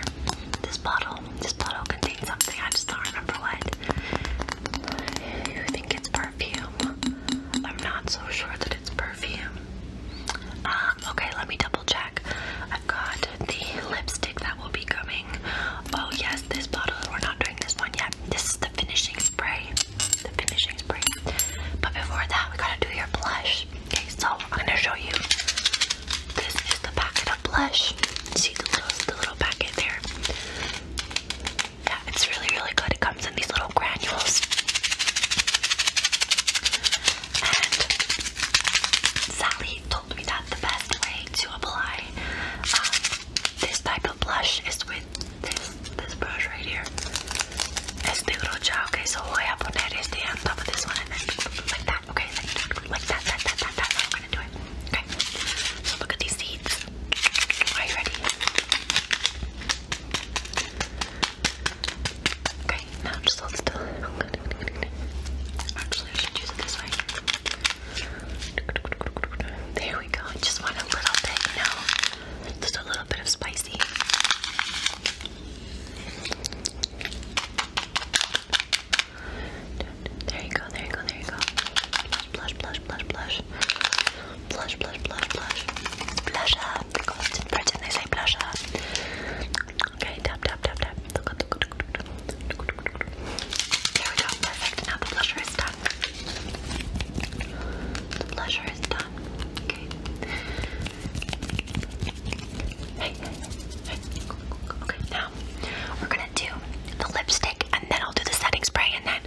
This bottle, this bottle contains something. I just don't remember what. I think it's perfume. I'm not so sure that it's perfume. Uh, okay, let me double check. I've got the lipstick that will be coming. Oh yes, this bottle. We're not doing this one yet. This is the finishing spray. The finishing spray. But before that, we gotta do your blush. Okay, so I'm gonna show you. This is the packet of blush. See the little, the little packet there. Yeah, it's really, really good. It comes in these little granules. And Sally told me that the best way to apply um, this type of blush is with this this brush right here. Este brocha, okay, so voy a poner este on top of this one and then like that. Okay, like that, that's how I'm gonna do it. Okay, so look at these seeds. Are you ready? Okay, now just hold still. Actually, I should use it this way. There we go. just want a little bit, you know, just a little bit of spicy. There you go, there you go, there you go. Blush, blush, blush, blush. Blush, blush, blush, blush. Blush up. Because in Britain they say blush up. Okay, tap, tap, tap, tap. There we go, perfect. Now the blusher is done. The blusher is done. Okay. Okay, now we're gonna do the lipstick and then I'll do the setting spray and then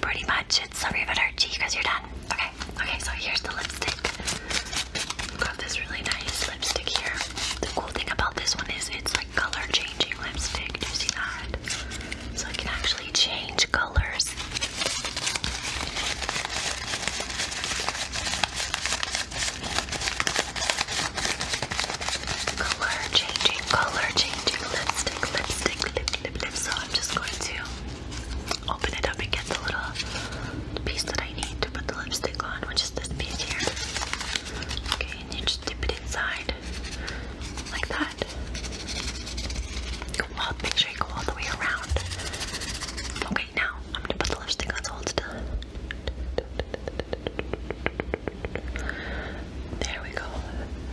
pretty much it's about our riveter because you're done. Okay, okay, so here's the lipstick. Got this really nice lipstick here. The cool thing about this one is it's like color changing lipstick. Do you see that? So it can actually change colors. Color changing, color changing lipstick, lipstick, lip, lip, So I'm just going to open it up and get the little piece that I need to put the lipstick on, which is this piece here. Okay, and you just dip it inside like that. make sure you go all the way around. Okay now I'm gonna put the lipstick on so hold still. There we go.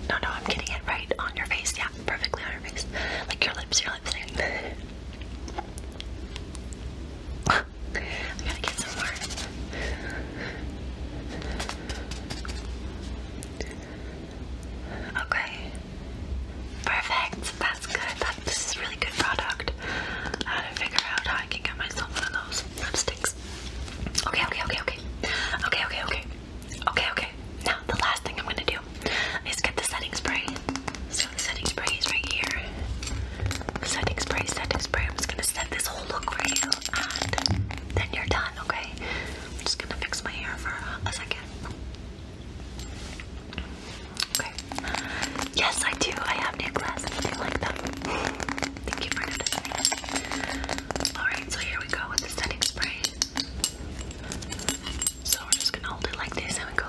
No, no, I'm getting it right on your face. Yeah, perfectly on your face. Like your lips, your lips. <laughs> I gotta get some more. Okay. Perfect. This is a really good product. I had to figure out how I can get myself one of those lipsticks. Okay, okay, okay, okay. Okay, okay, okay. Okay, okay. Now, the last thing I'm going to do is get the setting spray. So, the setting spray is right here. Setting spray, setting spray. I'm just going to set this whole look for you, and then you're done, okay? I'm just going to fix my hair for a second. Yes, I do. I have necklace and I do like them. <laughs> Thank you for noticing. Alright, so here we go with the setting spray. So we're just gonna hold it like this and we go.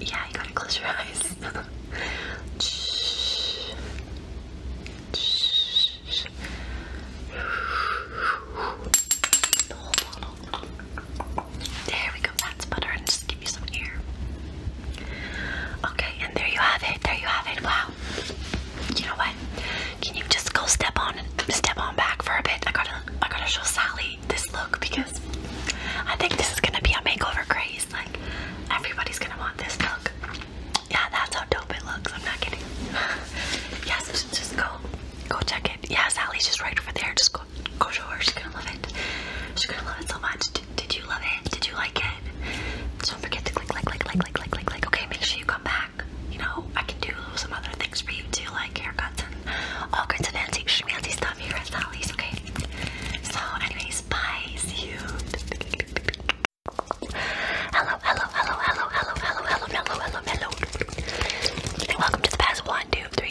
<laughs> Yeah, you gotta close your eyes. <laughs> The whole bottle. There we go, that's butter, and just give you some air. Okay, and there you have it. There you have it. Wow. You know what? Can you just go step on step on back for a bit? I gotta I gotta show Sally this look because I think this is gonna be a makeover craze. Like everybody's gonna want this look. Yeah, that's how dope it looks. I'm not kidding. <laughs> yeah, so just go go check it. Yeah, Sally's just right over there. Just go Go her. she's gonna love it. She's gonna love it so much. Did, you love it? Did you like it? Don't forget to click, like, like, like, like, like, like, like. Okay, make sure you come back. You know, I can do some other things for you too, like haircuts and all kinds of fancy schmancy stuff here at Sally's, okay? So, anyways, bye. See you. Hello, hello, hello, hello, hello, hello, hello, hello, hello, hello. And welcome to the past one, two, three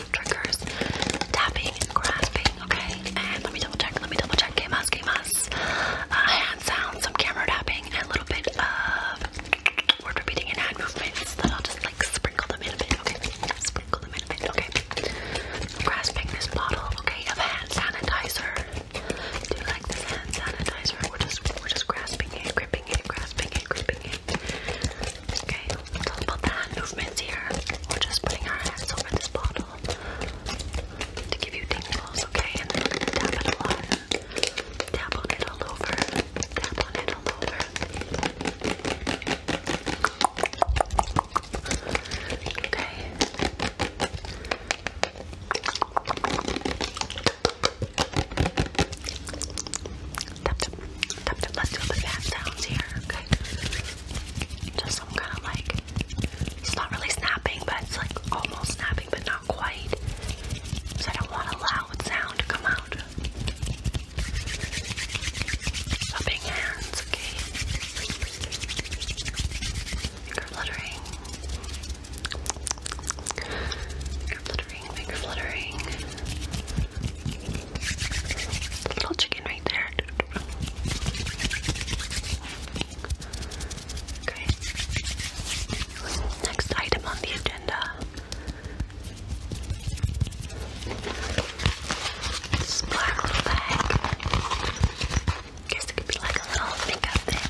triggers, tapping grasping, okay? And let me double check, let me double check, que más, que más? hand sounds, some camera tapping, a little bit of word repeating and hand movements that I'll just like sprinkle them in a bit, okay? Sprinkle them in a bit, okay? Grasping this bottle, okay, of hand sanitizer. Do you like this hand sanitizer? We're just, we're just grasping it, gripping it, grasping it, gripping it. Okay, it's about the movements here. We're just putting our hands over this bottle to give you tingles, okay? And then tap it a lot. Tap on it all over. Tap on it all over. Okay. tap. Let's do the fan sounds here, okay? Just some kind of like, it's not really snapping, but it's like almost snapping, but not quite. So I don't want a loud sound to come out. Rubbing hands, okay? Finger fluttering. Finger fluttering, finger fluttering. Little chicken right there. Okay. Next item on the agenda. This black little bag. Guess it could be like a little makeup thing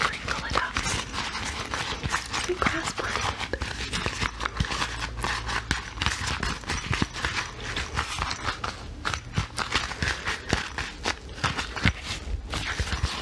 crinkle it up. Be grass plant.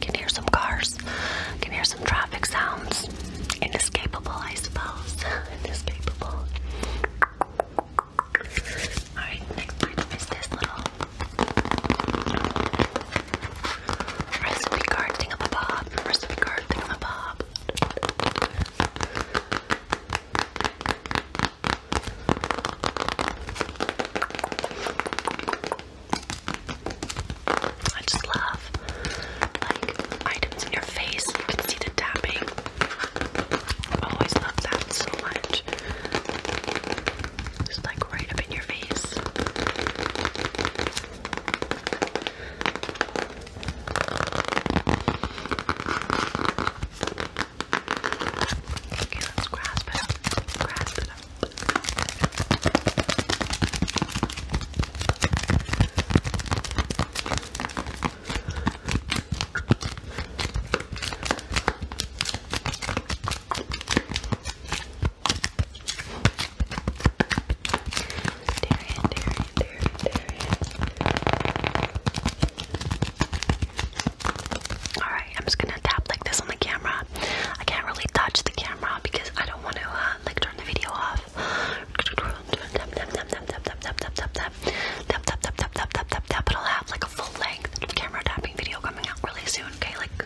Can hear some cars. Can hear some traffic sounds. Inescapable, I suppose. <laughs> Inescapable. Alright, next item is this little Recipe card, ding -a bob. Recipe card, ding -a bob. I just love like items in your face. You can see the tapping. Always love that so much. It's like right up in your face. Okay, let's grasp it up. Grasp it up. Alright, I'm just gonna tap like this on the camera. I can't really touch the camera because I don't want to like turn the video off. Tap, tap, tap, tap, tap, tap, tap, tap, tap. Tap, tap, tap, tap, tap, tap, tap, will have like a full length camera tapping video coming out really soon, okay? Like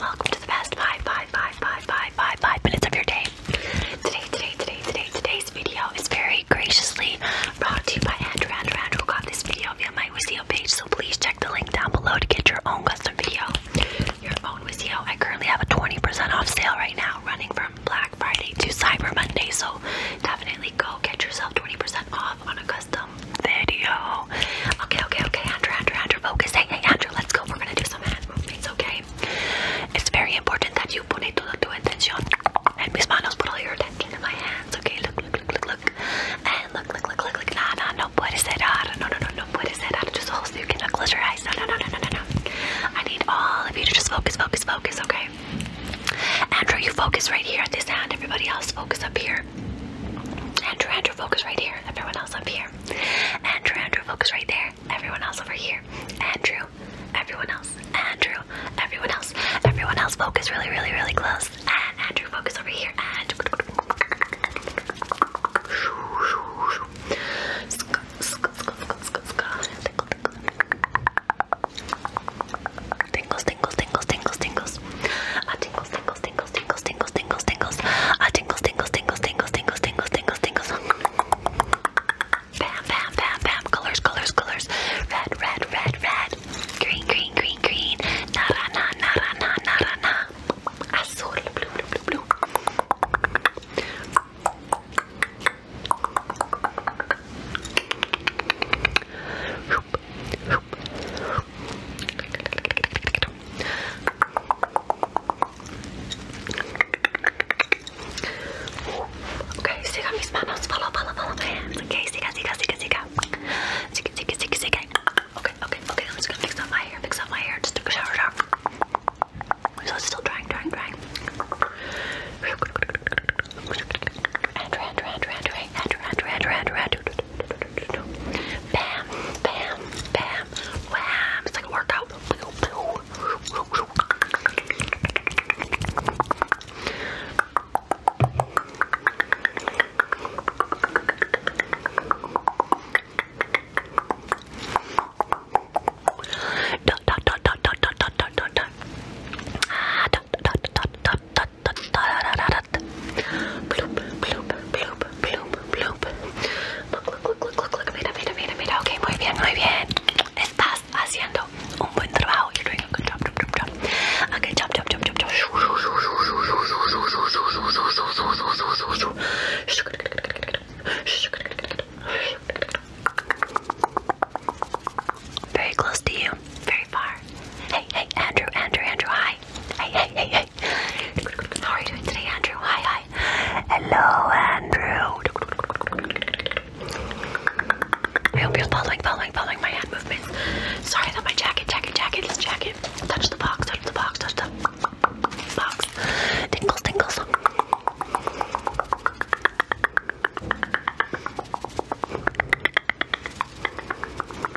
Welcome to the past five, five, five, five, five, five, five minutes of your day. Today, today, today, today, today's video is very graciously brought to you by Andrew. Andrew, Andrew got this video via my Wizio page, so please check the link down below to get your own custom video. Your own Wizio. I currently have a 20% off sale right now, running from Black Friday to Cyber Monday, so definitely go get yourself 20% off on a custom custom video. Okay, okay, okay, Andrew, Andrew, Andrew, focus. Hey, hey, Andrew, let's go. We're gonna do some hand movements, okay? It's very important that you pone toda tu atención en mis manos, put all your attention in my hands, okay? Look, look, look, look, look. And look, look, look, look, look. Nah, nah, no puedes cerrar. No, no, no, no puedes cerrar. Just hold so you cannot uh, close your eyes. No, no, no, no, no, no, no. I need all of you to just focus, focus, focus, okay? Andrew, you focus right here at this hand. Everybody else, focus up here here. Andrew, Andrew, focus right here. Everyone else up here. Andrew, Andrew, focus right there. Everyone else over here. Andrew, everyone else. Andrew, everyone else. Everyone else, focus really, really, really close. And Andrew, focus over here. And tingles, tingles, tingles, tingles, tingles. Uh, tingles, tingles, tingles, tingles, tingles, tingles, tingles, tingles, uh, tingles, tingles, tingles, tingles, tingles, tingles, tingles, tingles. Bam, bam, bam, bam. Colors, colors, colors. Red, red, red, red. Green, green, green, green. Nara, na, nara, na, nara, na. Azul, blue, blue, blue, blue. Hoop, hoop, Okay, siga mis manos. Follow, follow, follow my hands. Okay, siga, siga, siga, siga. Siga, siga, siga, siga. Okay, okay, okay. I'm just gonna fix up my hair. Fix up my hair. Just took a shower, shower. So it's still drying, drying, drying. Andrew, Andrew, Andrew, Andrew, Andrew, Andrew, Andrew, Andrew, Andrew, Andrew, Bam, bam, bam, wham. It's like a workout. Dot dot dot dot dot dot dot dot dot dot dot dot dot dot dot dot dot dot dot that. Bloop, bloop, bloop, bloop, bloop. Look, look, look, look, look, look. Mira, mira, mira, mira. Ok, muy bien, muy bien. Estás haciendo un buen trabajo. You're doing a good job, job, job, job. A good job, job, job, job, job. Very close to you, very far. Hey, hey, Andrew, Andrew, Andrew, hi. Hey, hey, hey, hey, how are you doing today, Andrew? Hi, hi. Hello, Andrew. I hope you following, following, following my hand movements. Sorry about my jacket, jacket, jacket, this jacket. Touch the box, touch the box, touch the box. Tingles, tingles.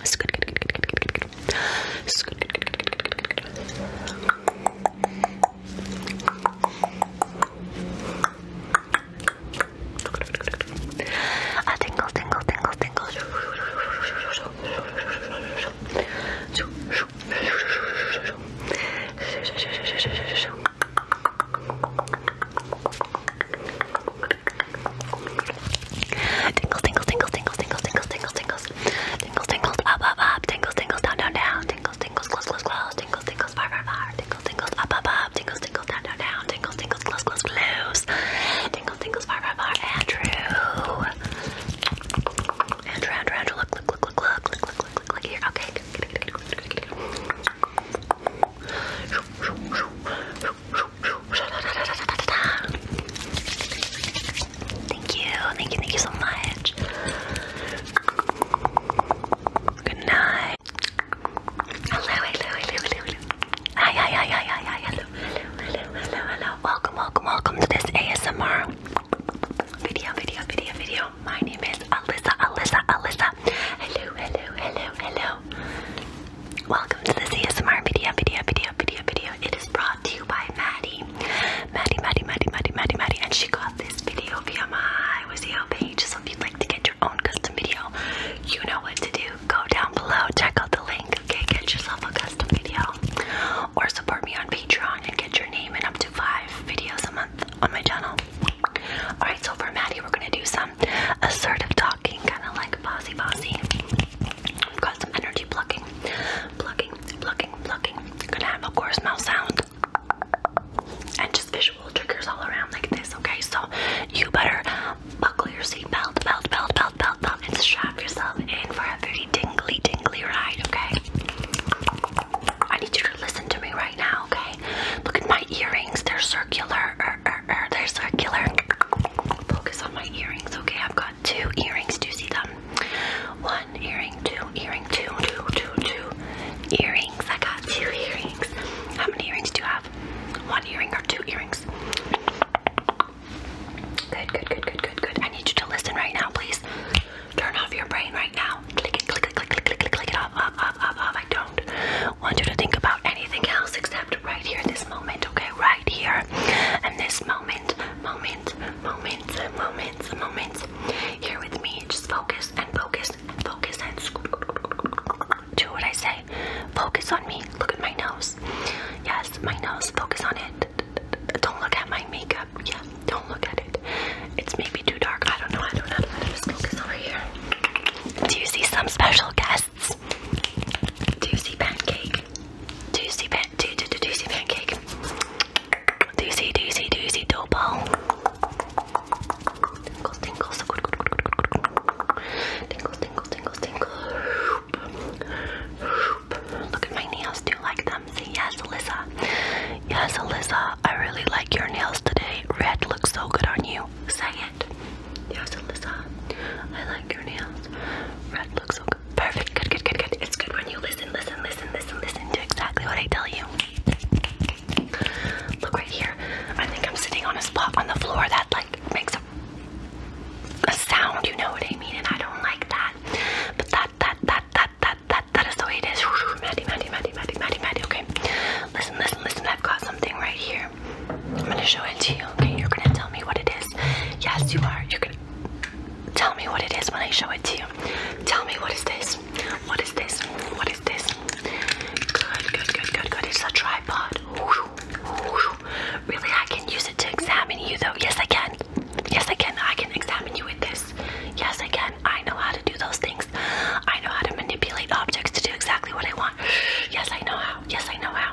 It's good, good, good, good, good, good, good. It's good, good, good, good, good, good, good, good. A tingle, tingle, tingle, tingle. Tingles, tingles, tingles, tingles, tingles, tingles, tingles, tingles. Tingles, tingles, up, up, up. Tingles, tingles, down, down, down. Tingles, tingles, close, close, close. Tingles, tingles, far, far, far. Tingles, tingles, up, up, up. Tingles, tingles, down, down, down. Tingles, tingles, close, close, close. Tingles, tingles, far, far, far. Andrew. Andrew, Andrew, Andrew. Look, look, look, look, look, look, look, look, look, look here. Okay. Get it, get it, get it, get it, get it, get it. Thank you, thank you, thank you so much. Good night. Hello, hello, hello, hello, hello, hello, hello, hello, hello. Welcome, welcome, welcome to this ASMR video, video, video, video. My name is Alyssa, Alyssa, Alyssa. Hello, hello, hello, hello. Welcome to this ASMR video, video, video, video, video. It is brought to you by Maddie. Maddie, Maddie, Maddie, Maddie, Maddie, Maddie. And she got this video via my Wizio page. So if you'd like to get your own custom video, you know what to do. Go down below, check out the link, okay? Get yourself a custom video. Or support me on Patreon and get your name in up to five videos a month on my channel. Alright, so for Maddie, we're gonna do some assertive talking, kind of like bossy bossy i got some energy plucking, plucking, plucking, plucking. Gonna have, of course, mouth sound and just visual triggers all around like this, okay? So you better buckle your seatbelt, belt, belt, belt, belt, belt, and strap yourself in for a very tingly, tingly ride, okay? I need you to listen to me right now, okay? Look at my earrings, they're circular, er, er, er, they're circular. Focus on my earrings, okay? I've got got two earrings. Do you see them? One earring, two earring, two, two, two, two earrings. I got two earrings. How many earrings do you have? One earring or two earrings? Good, good, good, good, good, good. I need you to listen right now, please. Turn off your brain right now. Click it, click it, click, click, click, click, click it off, off, off, off, off. I don't want you to think about anything else except right here, this moment, okay, right here. And this moment, moment, moment, moment, moments. Here with me, just focus and focus and focus and do what I say. Focus on me. Look at my nose. Yes, my nose. Focus on it. Don't look at my makeup. Yeah, don't look at it. It's maybe too dark. I don't know. I don't know. Let's focus over here. Do you see some special guests? Doozy pancake. Doozy pan do do do doozy pancake. Doozy doozy doozy dough ball. Tingles, tingles, tingles, tingles, tingles, tingles. Look at my nails. Do you like them? Say yes, Alyssa. Yes, Alyssa. I really like your nails today. Red looks so good on you. Say it. Yes, Alyssa. I like your nails. Red looks so Perfect. Good, good, good, good. It's good when you listen, listen, listen, listen, listen to exactly what I tell you. Look right here. I think I'm sitting on a spot on the floor that like makes a a sound, you know what I mean, and I don't like that. But that that that that that that that is the way it is. Maddie, Maddie, Maddie, Maddie, Maddie, Maddie, okay. Listen, listen, listen, I've got something right here. I'm gonna show it to you, okay? You're gonna tell me what it is. Yes, you are. You can tell me what it is when I show it to you. Tell me what is this? What is this? What is this? Good, good, good, good, good. It's a tripod. Really, I can use it to examine you though. Yes, I can. Yes, I can. I can examine you with this. Yes, I can. I know how to do those things. I know how to manipulate objects to do exactly what I want. Yes, I know how. Yes, I know how.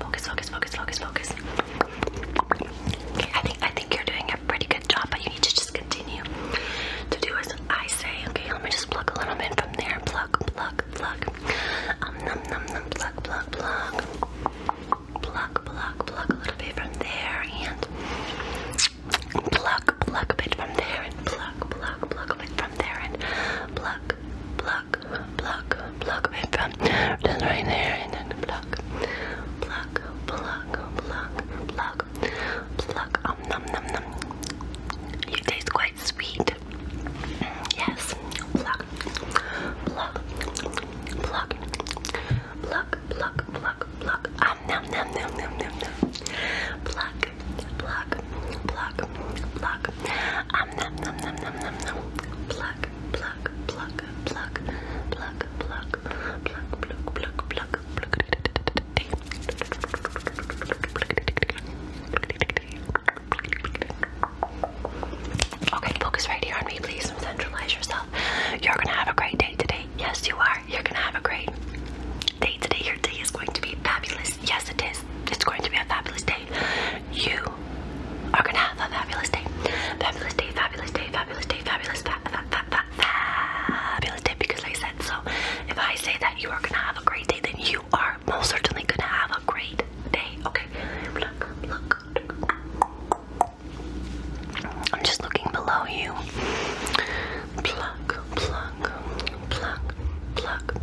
Focus, focus, focus, focus, focus. Okay, I think I think you're doing a pretty good job, but you need to just continue to do as I say. Okay, let me just pluck a little bit from there. Pluck, pluck, pluck. Um, num, num, num, pluck, pluck, pluck. Pluck, pluck, pluck a little bit from there, and pluck, pluck a bit from there, and pluck, pluck, pluck a bit from there, and pluck, pluck, pluck, pluck with the right there and then pluck, pluck, pluck, pluck, pluck, pluck. Um, num, num, num. You taste quite sweet. Yes, pluck, pluck, pluck, pluck, pluck, pluck, pluck. Um, num, num, num, num, num, num. Pluck, pluck, pluck, pluck, Okay, focus right here on me, please, and centralize yourself. You're gonna have a great day today. Yes, you are. You're gonna have a great day today. Your day is going to be fabulous is. Yes, it is. It's going to be a fabulous day. You are going to have a fabulous day. Fabulous day, fabulous day, fabulous day, fabulous, fa fa fa fa fabulous day because I said so. If I say that you are going to have a great day, then you are most certainly going to have a great day. Okay? Look, look. I'm just looking below you. Pluck, pluck, pluck, pluck,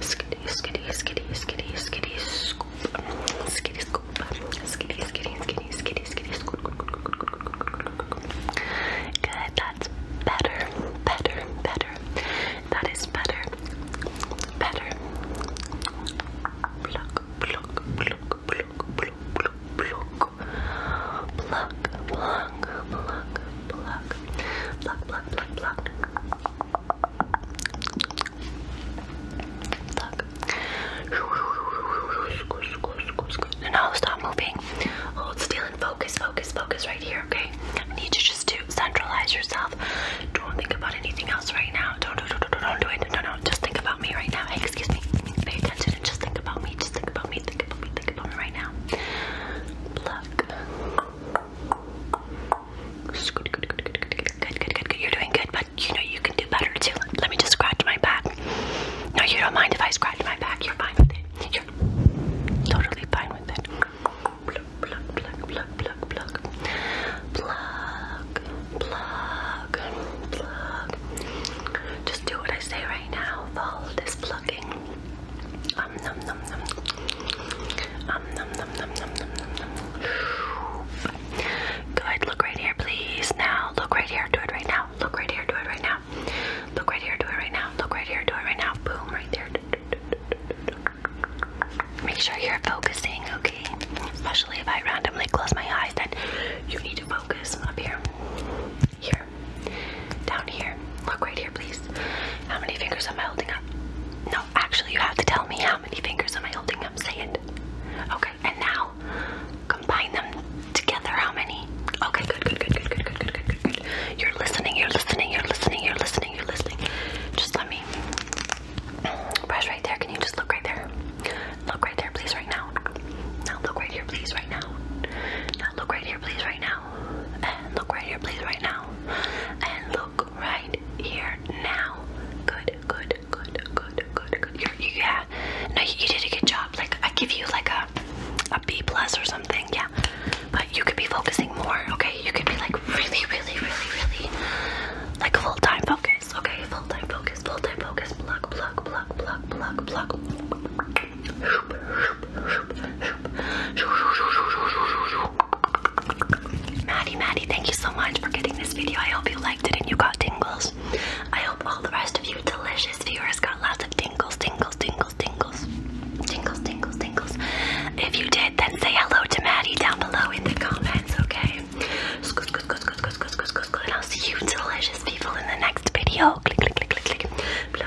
Skitty, skitty, skitty, skitty, skitty, scoop. Skitty, scoop. Skitty, skitty, skitty, skitty, skitty, scoop. Good, that's better, better, better. That is better, better. Pluck, pluck, pluck, pluck, pluck, pluck, pluck. Pluck, pluck, pluck, pluck, pluck, pluck, pluck, pluck, pluck. Pluck. No, stop moving. Hold still and focus, focus, focus right here, okay? I need you just to centralize yourself. Don't think about anything else right now. Don't, don't, don't, don't, don't do it. No, no, just think about me right now. Hey, excuse me. Pay attention and just think about me. Just think about me. Think about me. Think about me right now. Pluck. Good, good, good, good, You're doing good, but you know you can do better too. Let me just scratch my back. No, you don't mind if I scratch my back. You're fine with it. You're totally fine with it. Pluck, pluck, pluck, pluck, pluck, pluck. Pluck, pluck, pluck. Just do what I say right now. Follow this plucking. Good. Look right here, please. Now look right here. Do it right now. Look right here. Do it right now. Look here. Do it right now. Look right here. Do it right now. Boom. Right there. Make sure you're focusing, okay? Especially if I randomly close my eyes, then you need to focus up here. Here. Down here. Look right here, please. How many fingers am I holding up? No, actually, you have to tell me how many fingers am I holding up. Say it. Okay, and now combine them together. How many? Okay, good, good, good, good, good, good, good, good, good. You're listening, you're listening, you're listening, you're listening, you're listening. Just let me brush right there. Can you just look right there? Look right there, please, right now. Now look right here, please, right now. Now look right here, please, right now now. And look right here, please, right now. And look right here now. Good, good, good, good, good, good. You're, you, yeah. No, you, you did a good job. Like I give you like a a B plus or something. Yeah. But you could be focusing more. Okay. You could be like really, really, really, really like full time focus. Okay. Full time focus. Full time focus. Plug, plug, plug, plug, plug, plug. Maddie, Maddie, thank you so much for getting this video. I hope you liked it and you got tingles. I hope all the rest of you delicious viewers got lots of tingles, tingles, tingles, tingles, tingles, tingles, tingles. If you did, then say hello to Maddie down below in the comments, okay? And I'll see you delicious people in the next video. Click, click, click, click, click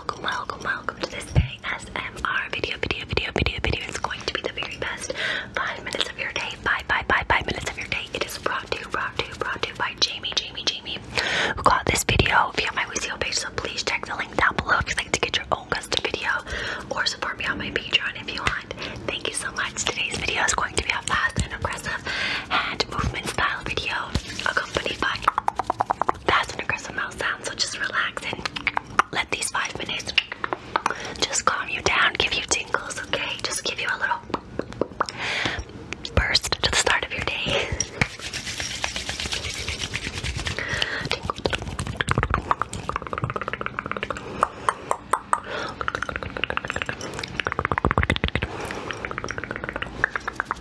welcome, welcome, welcome to this day SMR video, video, video, video, video. It's going to be the very best five minutes of your day. Five, five, five, five minutes of your day. It is brought to you, brought to you, brought to you by Jamie, Jamie, Jamie, who got this video via my Wizio page. So please check the link down below if you'd like to get your own custom video or support me on my Patreon if you want. Thank you so much. Today's video is going to be a fast and aggressive hand movement style video accompanied by that's an aggressive mouth sound, so just relax and let these five minutes just calm you down, give you tingles, okay? Just give you a little burst to the start of your day.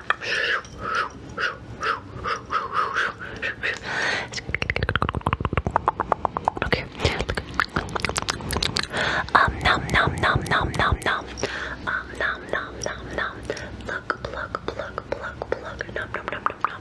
Okay. Um nom nom nom nom nom nom. Um nom nom nom nom. Plug plug plug plug plug nom nom nom nom nom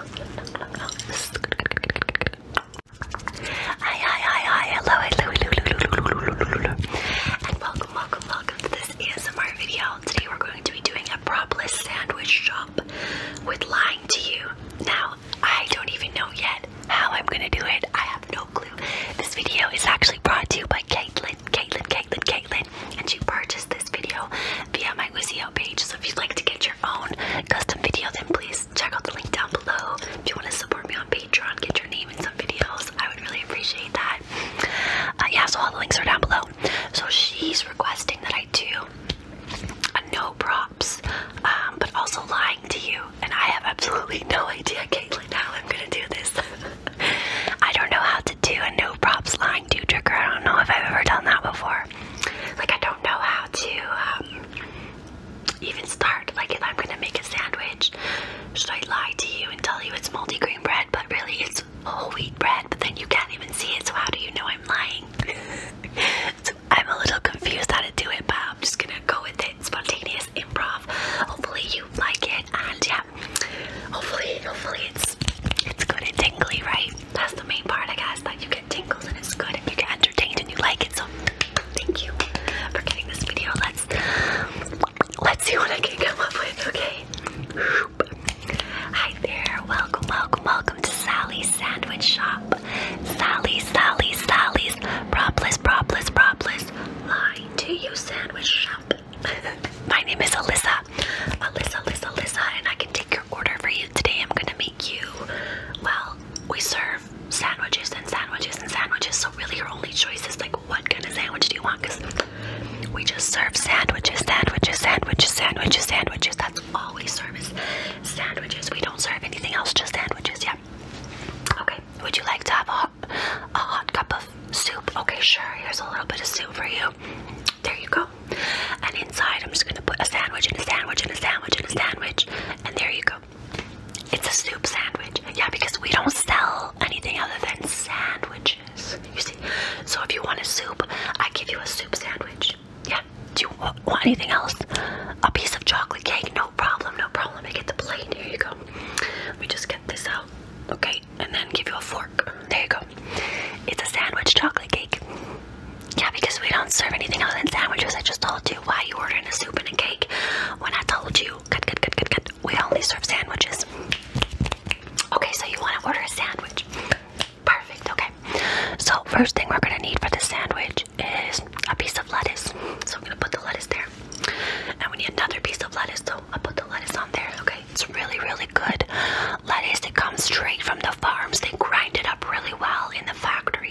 Hi, hi, hi, hi, hello, hello, hello, hello, hello, hello, hello, and welcome, welcome, welcome to this ASMR video. Today we're going to be doing a propless sandwich shop with lying to you. Now, I don't even know yet how I'm gonna do it. I have no clue. This video is actually brought to you by Caitlin, Caitlin, Caitlin, Caitlin, and she purchased this video via my Wizio page. So if you'd like to get your phone custom video, then please check out the link down below. If you want to support me on Patreon, get your name in some videos. I would really appreciate that. Uh, yeah, so all the links are down below. So she's requesting that I do no props, um, but also lying to you. And I have absolutely no idea, Caitlin, how I'm gonna do this. <laughs> I don't know how to do a no props lying to trick her. I don't know if I've ever done that before. Like I don't know how to um, even start. Like if I'm gonna make a sandwich, should I lie to you and tell you it's multi-grain bread, but really it's whole wheat bread, but then you can't even see it, so how do you know I'm lying? <laughs> I'm a little confused how to do it, but I'm just gonna go with it. Spontaneous improv. Hopefully you like it, and yeah, hopefully, hopefully it's it's good and tingly, right? That's the main part, I guess, that you get tingles and it's good and you get entertained and you like it. So thank you for getting this video. Let's let's see what I can come up with, okay? Hi there, welcome, welcome, welcome to Sally's Sandwich Shop. Sally's, Sally's, Sally's, propless, propless, propless, line to you sandwich shop. <laughs> My name is Alyssa. Alyssa, Alyssa, Alyssa, and I can take your order for you today. I'm gonna make you, well, we serve sandwiches and sandwiches and sandwiches. So really your only choice is like, what kind of sandwich do you want? Because we just serve sandwiches, sandwiches, sandwiches, sandwiches, sandwiches. That's all we serve is sandwiches. We don't serve anything else, just sandwiches. Yeah. Okay. Would you like to have a hot, a hot cup of soup? Okay, sure. Here's a little bit of soup for you. There you go. And inside, I'm just gonna put a sandwich and a sandwich and a sandwich and a sandwich. And there you go. It's a soup sandwich. Yeah, because we don't sell anything other than sandwiches. You see? So if you want a soup, I give you a soup sandwich. Yeah. Do you want, anything else? A piece of chocolate cake? No problem, no problem. I get the plate. Here you go. Let me just get this out. Okay, and then give you a fork. There you go. It's a sandwich chocolate cake. Yeah, because we don't serve anything other than sandwiches. I just told you why you ordering a soup and a cake when I told you. Good, good, good, good, good. We only serve sandwiches. Okay, so you want to order a sandwich. Perfect, okay. So, first thing we're going to need for the sandwich is a piece of lettuce. So, I'm going to put the lettuce there. And we need another piece of lettuce, so i put the lettuce on there, okay? It's really, really good lettuce. It comes straight from the farms. They grind it up really well in the factory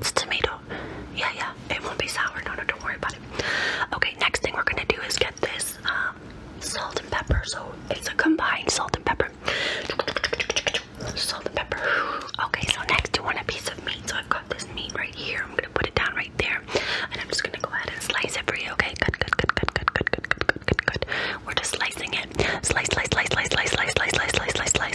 it's tomato. Yeah, yeah. It won't be sour. No, no, don't worry about it. Okay, next thing we're gonna do is get this um, salt and pepper. So it's a combined salt and pepper. Salt and pepper. Okay, so next you want a piece of meat. So I've got this meat right here. I'm gonna put it down right there, and I'm just gonna go ahead and slice it for you. Okay, good, good, good, good, good, good, good, good, good, good. We're just slicing it. Slice, slice, slice, slice, slice, slice, slice, slice, slice, slice, slice, slice,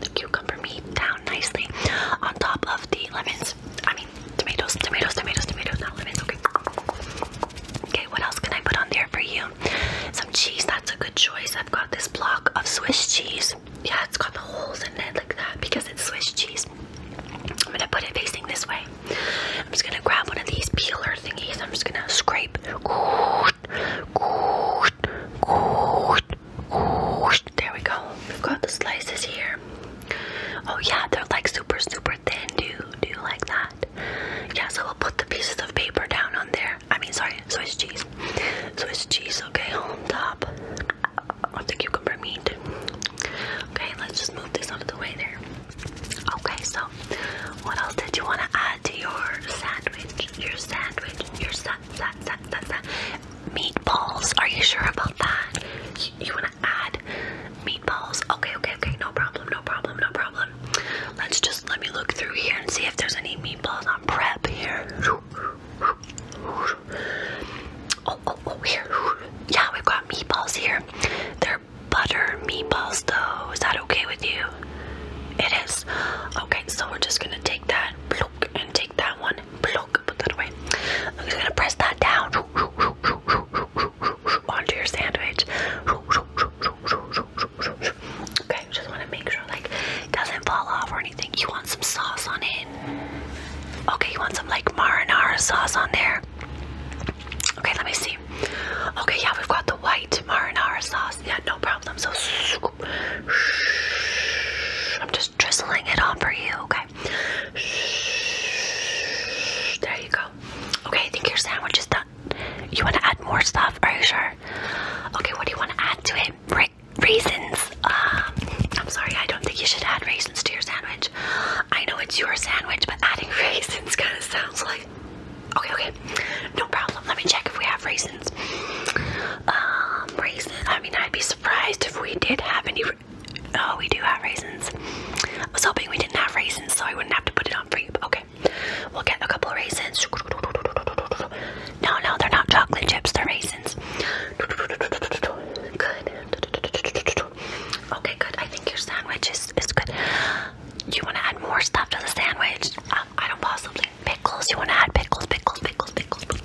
the cucumber meat down nicely on top of the lemons. I mean, tomatoes, tomatoes, tomatoes, tomatoes, not lemons. Okay. Okay, what else can I put on there for you? Some cheese, that's a good choice. I've got this block of Swiss cheese. Yeah, it's got the holes in it like that because it's Swiss cheese. I'm gonna put it facing this way. I'm just gonna grab one of these peeler thingies. I'm just gonna scrape. There we go. We've got the slices here. Oh yeah, they're like super super thin. Do do you like that? Yeah, so we'll put the pieces of paper down on there. I mean, sorry, Swiss cheese. Swiss cheese, okay, on top of the cucumber meat. Okay, let's just move this out of the way there. Okay, so what else did you want to add to your sandwich? Your sandwich, your sandwich. Meatballs. Are you sure about that? You, want to add meatballs? Okay, okay, okay. No problem, no problem, no problem. Let's just let me look through here and see if there's any meatballs on prep here. Oh, oh, oh, here. Yeah, we've got meatballs here. They're butter meatballs, though. Is that okay with you? It is. Okay, so we're just gonna take that block and take that one. block. I'm just gonna press that down onto your sandwich. Okay, just want to make sure like doesn't fall off or anything. You want some sauce on it. Okay, you want some like marinara sauce on there. Okay, let me see. Okay, yeah, we've got the white marinara sauce. Yeah, no problem. So I'm just drizzling it on for you, okay? there you go. Okay, I think your sandwich is done. You want to add more stuff? Are you sure? Okay, what do you want to add to it? raisins. Um, I'm sorry, I don't think you should add raisins to your sandwich. I know it's your sandwich, but adding <laughs> raisins kind of sounds like. Okay, okay, no problem. Let me check if we have raisins. Um, raisins. I mean, I'd be surprised if we did have any. Oh, we do have raisins. I was hoping we didn't have raisins, so I wouldn't have to put it on for you. But okay, we'll get a couple raisins. No, no, they're not chocolate chips. They're raisins. Good. Okay, good. I think your sandwich is is good. you want to add more stuff to the sandwich? I don't possibly. Pickles. You want to add pickles? Pickles. Pickles. Pickles.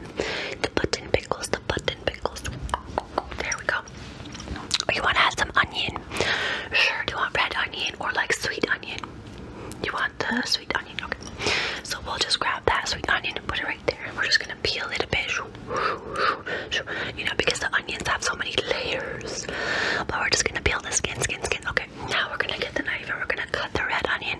yeah. The button pickles, the button pickles. There we go. You want to add some onion? Sure. Do you want red onion or like sweet onion? You want the sweet onion? Okay. So we'll just grab that sweet onion and put it right there. And we're just going to peel it a bit. You know, because the onions have so many layers. But we're just going to peel the skin, skin, skin. Okay. Now we're going to get the knife and we're going to cut the red onion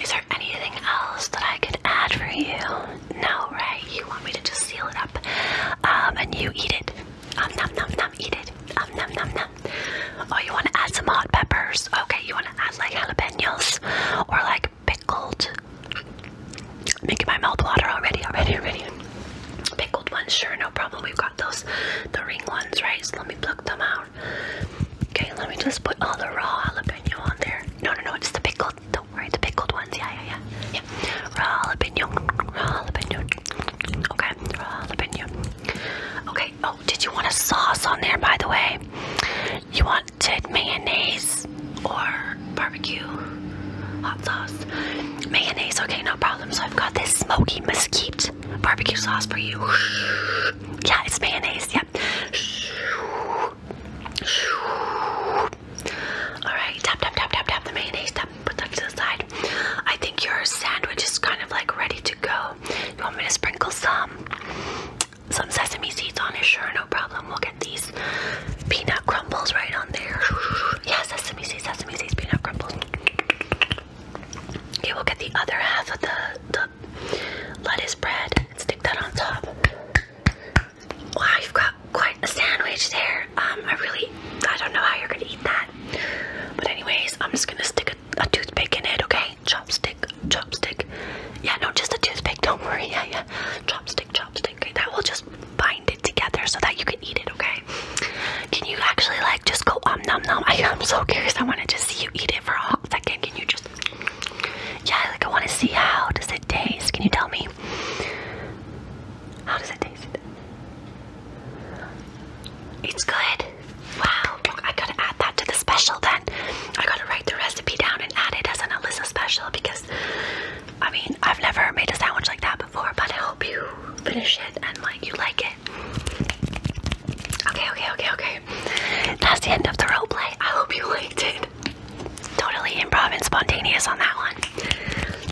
Is there anything else that I could add for you? No, right? You want me to just seal it up um, and you eat it. Um, nom nom nom, eat it. Um, nom nom nom. Oh, you want to add some hot peppers? Okay, you want to add like jalapenos or like pickled. Making my mouth water already, already, already. Pickled ones, sure, no problem. We've got those, the ring ones, right? So let me pluck them out. Okay, let me just put all the raw jalapeno on there. No, no, no, it's the pickled. Don't worry, the pickled ones. Yeah, yeah, yeah. yeah. Raw jalapeno, raw jalapeno. Okay, raw jalapeno. Okay. Oh, did you want a sauce on there, by the way? You wanted mayonnaise or barbecue hot sauce? Mayonnaise. Okay, no problem. So I've got this smoky mesquite barbecue sauce for you. Yeah, it's mayonnaise. Yeah. Alright, tap, tap, tap, tap, tap the mayonnaise, tap, put that to the side. I think your sandwich is kind of like ready to go. You want me to sprinkle some some sesame seeds on it? Sure, no problem. We'll get these peanut crumbles right on there. Yes, sesame seeds, sesame seeds, peanut crumbles. Okay, we'll get the other half of the lettuce bread and stick that on top. Wow, you've got quite a sandwich there. Um, I really, I don't know how you're gonna eat that. But anyways, I'm just gonna stick a, toothpick in it, okay? Chopstick, chopstick. Yeah, no, just a toothpick, don't worry. <laughs> Yeah, yeah. Chopstick, chopstick. Okay, that will just bind it together so that you can eat it, okay? Can you actually like just go um nom nom? I, I'm so curious. I wanna just see you eat it for a hot second. Can you just yeah, like I want to see how does it taste? Can you tell me? How does it taste? It's good. Wow. I gotta add that to the special then. I gotta write the recipe down and add it as an Alyssa special because I mean I've never made a sandwich like that before, but I hope you finish it and like you like it. Okay, okay, okay, okay. That's the end of the roleplay. I hope you liked it. Totally improv and spontaneous on that one.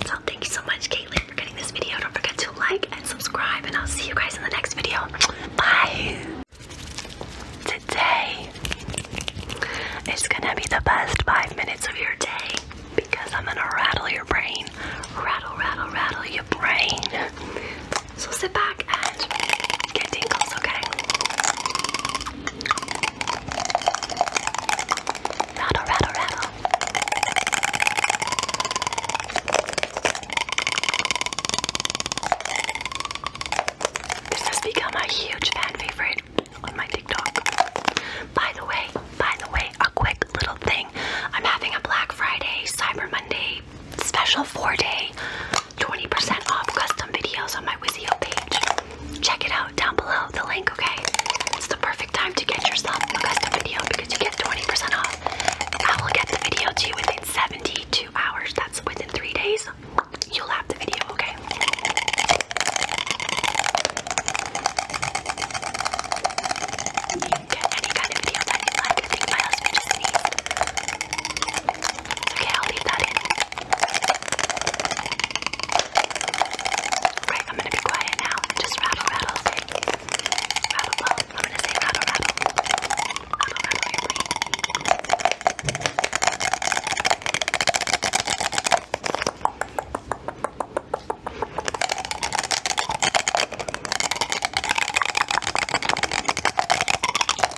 So thank you so much, Caitlin, for getting this video. Don't forget to like and subscribe, and I'll see you guys in the next video. Bye. Today is gonna be the best five minutes of your day because I'm gonna rattle your brain. Rattle, rattle, rattle your brain. So sit back and get tingles, okay? Rattle, rattle, rattle. This has become a huge fan favorite on my TikTok. By the way, by the way, a quick little thing. I'm having a Black Friday, Cyber Monday special four day 20% off custom videos on my Wizio page. Check it out down below the link, okay? It's the perfect time to get yourself a custom video because you get 20% off. I will get the video to you within 72 hours. That's within three days. You'll have the video, okay? It's okay, I'll leave that in. Right, I'm gonna be quiet now. Just rattle, rattle, say. Rattle, well, I'm gonna say rattle, rattle. Rattle, rattle, your brain.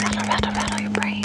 Rattle, rattle, rattle your brain.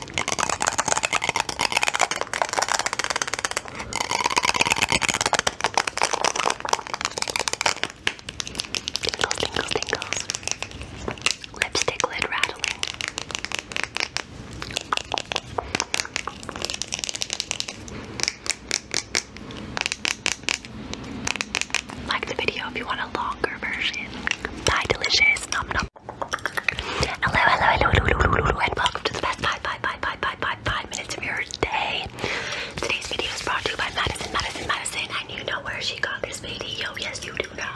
Tingles, tingles, tingles. Lipstick lid rattling. Like the video if you want a longer version. Bye, delicious. Nom nom Hello, hello, hello, hello, hello, hello, hello, and welcome to the best five, five, five, five, five, five, five minutes of your day. Today's video is brought to you by Madison, Madison, Madison, and you know where she got this video. Yes, you do know.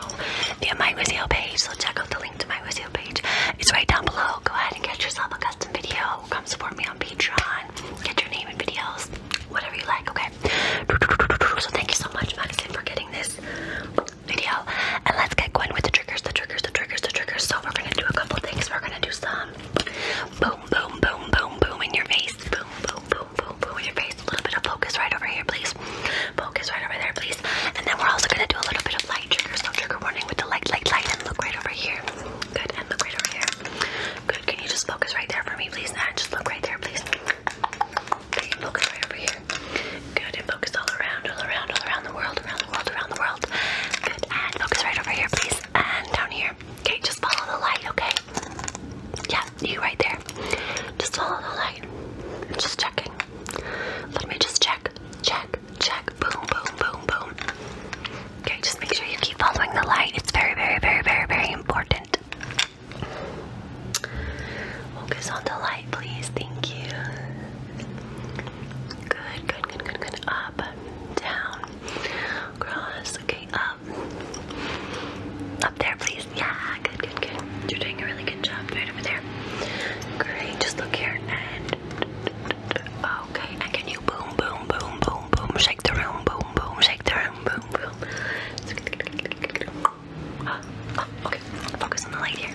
Via my Wizio page, so check out the link to my Wizio page. It's right down below. Go ahead and get yourself a custom video. Come support me on Patreon. Get your name in videos, whatever you like, okay? So thank you so much, Madison, for getting this video and let's get going with the triggers, the triggers, the triggers, the triggers. So we're gonna do a couple things. We're gonna do some boom, boom, boom, boom, boom in your face. Boom, boom, boom, boom, boom in your face. A little bit of focus right over here, please. Focus right over there, please. And then we're also gonna do a little bit of light triggers. So trigger warning with the light, light, light, and look right over here. Good, and look right over here. Good. Can you just focus right there for me, please? And just look right there, please. Okay, focus right over here. Good, and focus all around, all around, all around the world, around the world, around the world. Good, and focus right over here, please, and down here. Okay, just follow the light, okay? Yeah, you right there. Just follow the light. I'm just checking. Let me just check, check, check. Boom, boom, boom, boom. Okay, just make sure you keep following the light. It's very, very, very, very, very important. Focus on the light, please. Thank you. Good, good, good, good, good. Up, down, cross. Okay, up. Up there, please. Yeah, good, good, good. You're doing a really good job right over there. Great, just look here Okay, can you boom, boom, boom, boom, boom, shake the room, boom, boom, shake the room, boom, boom. <gasps> okay, focus on the light here.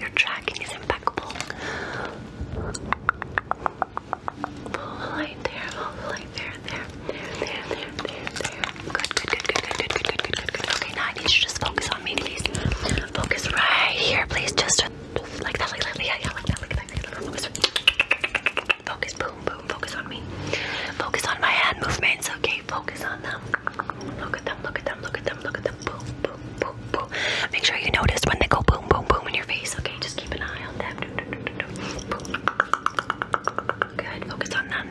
Your tracking is impeccable. light there, light there, there, there, there, there, there, Good, good, good, good, good, good, good, good, good, good. Okay, now you to just focus on me, please. Focus right here, please. Just, like that, like that, yeah, yeah, like that, like that, like that. Focus. boom, boom, focus on me. Focus on my hand movements, okay? Focus on them. Look at them look at them, look at them, look at them. Boom, boom, boom, Make sure you notice when they go boom, boom, boom in your face, okay? Just keep an eye on them. Good, focus on them.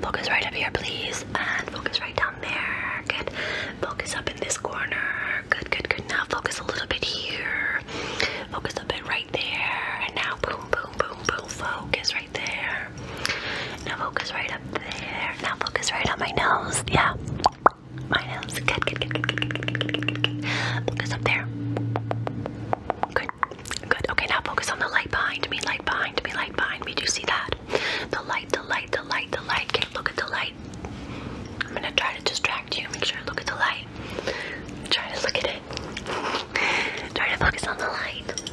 Focus right up here, please. And focus right down there. Good. Focus up in this corner. Good, good, good. Now focus a little bit here. Focus a bit right there. And now boom, boom, boom, boom. Focus right there. Now focus right up there. Now focus right on my nose. Yeah. My nose. Good, good, good, good, good, good, good, good, good. Focus up there. Good. Good. Okay, now focus on the light behind me. Light behind me. Light behind me. Do you see that? The light, the light, the light, the light. Okay, look at the light. I'm gonna try to distract you. Make sure I look at the light. Try to look at it. Try to focus on the light.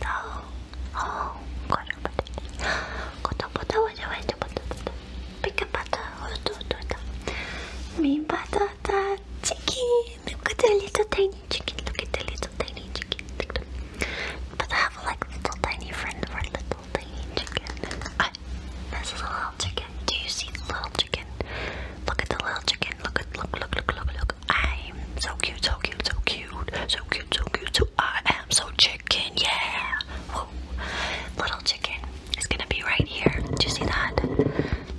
No. Oh, got a potato. Got a potato. Wait, wait, potato. Pick a butter. Oh, do, do, do. Me patata chicken. Look at the little tiny chicken. Look at the little tiny chicken. But I have like little tiny friend for little tiny chicken. I, this is a little chicken. Do you see the little chicken? Look at the little chicken. Look at look look look look look. I'm so cute, so cute, so cute, so cute, so cute, so I am so chicken, yeah. Little chicken is gonna be right here. Do you see that?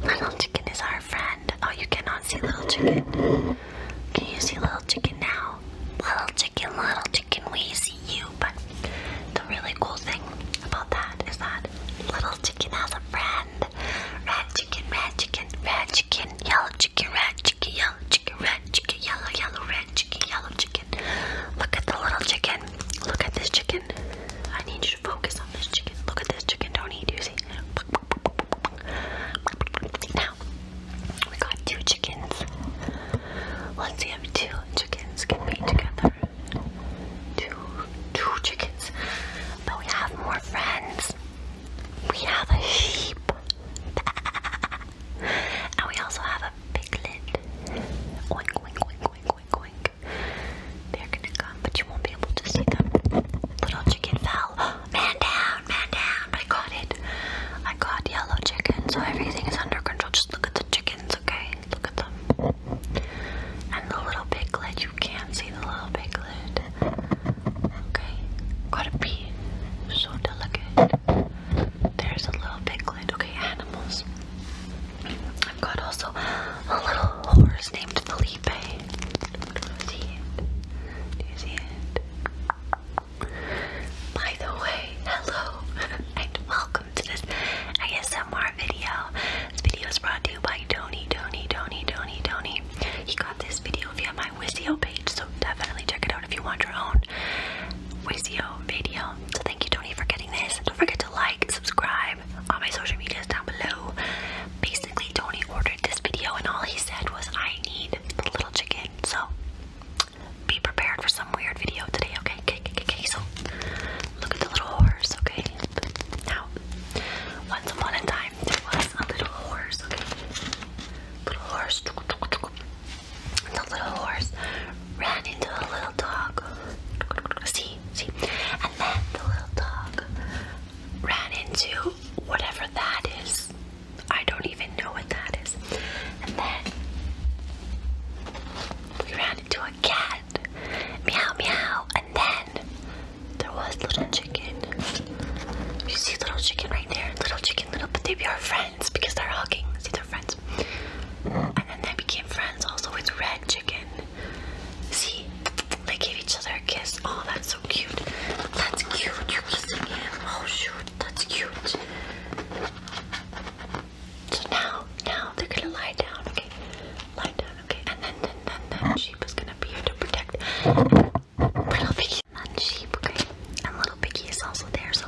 Little chicken is our friend. Oh, you cannot see little chicken. Can you see little chicken now? Little chicken, little chicken, we see you. But the really cool thing about that is that little chicken has a friend. Red chicken, red chicken, red chicken, yellow chicken, red chicken, yellow chicken, red chicken, yellow, yellow, red chicken, yellow chicken. Look at the little chicken. Look at this chicken. I need you to focus on this chicken. Look at this chicken. Don't eat, doozy. Now, we got two chickens. Let's see if two chickens can be together. Two, two chickens. But we have more friends. We have a sheep. and we also have a piglet. Oink, oink, oink, oink, oink, oink. They're gonna come, but you won't be able to see them. Little chicken fell. <gasps> Man down, man down. I got it. I got yellow chicken, so everything is under control. Just look at the chickens, okay? Look at them. And the little piglet, you can't see the little piglet. Okay, gotta pee. So delicate. There's a little piglet. Okay, animals. I've got also a little horse named Felipe. See it? Do you see it? By the way, hello <laughs> and welcome to this ASMR video. This video is brought to you by Tony, Tony, Tony, Tony, Tony. He got this video via my Wisio page, definitely check it out if you want your own Wizio video. So thank you, Tony, for getting this. Don't forget to like, subscribe on my social medias down below. Basically, Tony ordered this video, and all he said was, I need the little chicken. So be prepared for some weird video today, okay? Okay, okay, okay. So look at the little horse, okay? Now, once upon a time, there was a little horse, okay? Little horse. The little horse ran into the little dog. See, see. And then the little dog ran into whatever that is. I don't even know what that is. And then we ran into a cat. Meow, meow. And then there was little chicken. You see little chicken right there? Little chicken. Little, but they are friends because they're hugging. See, they're friends. And then they became friends also with Red Chicken. See, they gave each other a kiss. Oh, that's so cute. That's cute. You're kissing him. Oh shoot, that's cute. So now, now they're gonna lie down. Okay, lie down. Okay, and then, then, then, then sheep is gonna be here to protect. Little Piggy and sheep, okay? And Little Piggy is also there, so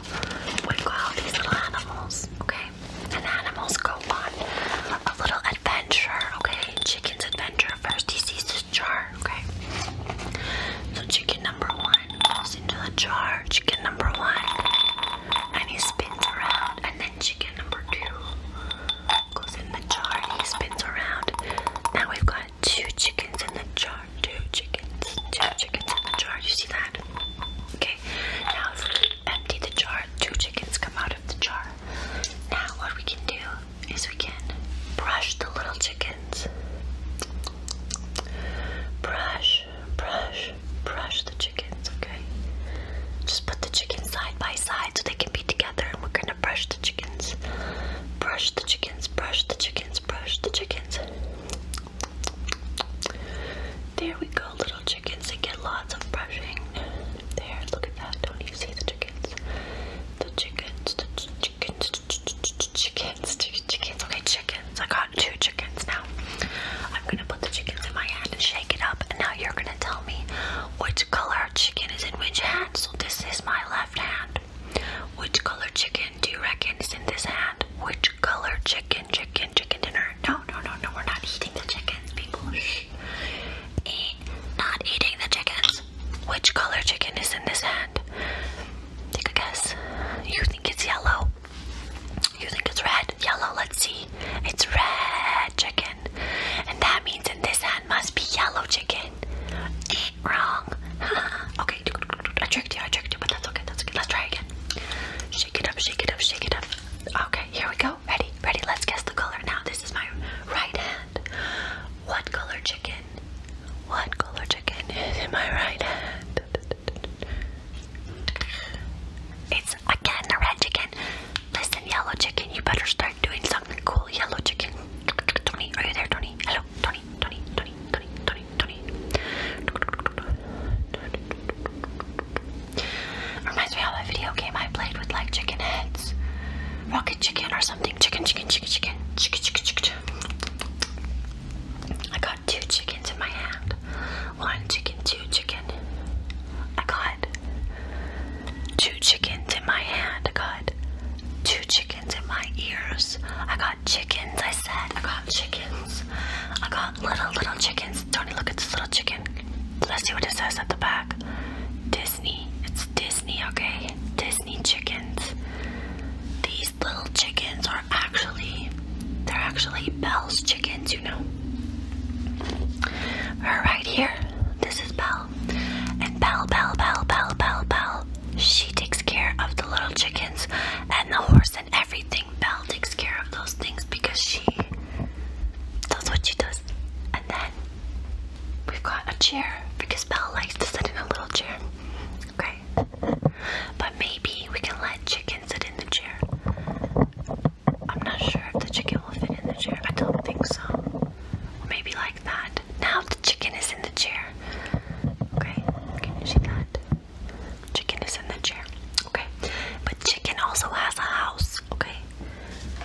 we've all these little animals, okay? And animals go on a little adventure, okay? Chicken's adventure. First, he sees this jar, okay? So chicken number one goes into the jar, chicken number one, and he spins around, and then chicken number two goes in the jar and he spins around. Now we've got two chickens in the jar. Two chickens. Two chickens in the jar. You see that? Okay. Now if we empty the jar, two chickens come out of the jar. Now what we can do is we can brush the little chickens. Brush, brush, brush the chickens, okay? Just put the chickens side by side so they can be together and we're gonna brush the chickens. Brush the chickens, brush the chickens, brush the chickens. There we go, little chickens. They get lots of brushing. There, look at that. Don't you see the chickens? The chickens, the ch chickens, chickens, chickens. Okay, chickens. I got two chickens now. I'm gonna put the chickens in my hand and shake it up, and now you're gonna tell me which color chicken is in which hand. So this is my left hand. Which color chicken do you reckon is in this hand? Which color chicken, chicken, chicken dinner? No, no, no, no, we're not eating the chickens, people. Shh. Eh, Eat, not eating the chickens. Which color chicken is in this hand? Take a guess. You think it's yellow? You think it's red? Yellow, let's see. It's red chicken. And that means in this hand must be yellow chicken. Eat, wrong. <laughs> I tricked you, I tricked you, but that's okay, that's okay. Let's try again. Shake it up, shake it up, shake it up. Okay, here we go. Ready, ready. Let's guess the color now. This is my right hand. What color chicken? What color chicken is in my right hand? It's again a red chicken. Listen, yellow chicken, you better start doing something cool. Yellow chicken. Tony, are you there, Tony? Hello, Tony. Tony, Tony, Tony, Tony, Tony. Reminds me of a video game I played with like chicken heads. Rocket chicken or something. Chicken, chicken, chicken, chicken. Chicken, chicken, chicken. I got two chickens in my hand. One chicken, two chicken. I got two chickens in my hand. I got two chickens in my ears. I got chickens, I said. I got chickens. I got little, little chickens. Tony, look at this little chicken. Let's see what it says at the back. Disney. It's Disney, okay? Disney chickens. These little chickens are actually, they're actually Belle's chickens, you know. Her right here. This is Belle. And Belle, Belle, Belle, Belle, Belle she takes care of the little chickens and the horse and everything. Belle takes care of those things because she does what she does. And then we've got a chair because Belle likes to sit in a little chair. Okay. But maybe we can let Chicken sit in the chair. I'm not sure if the chicken will fit in the chair. I don't think so. Maybe like that. Now the chicken is in the chair. Okay, can you see that? Chicken is in the chair. Okay. But chicken also has a house. Okay.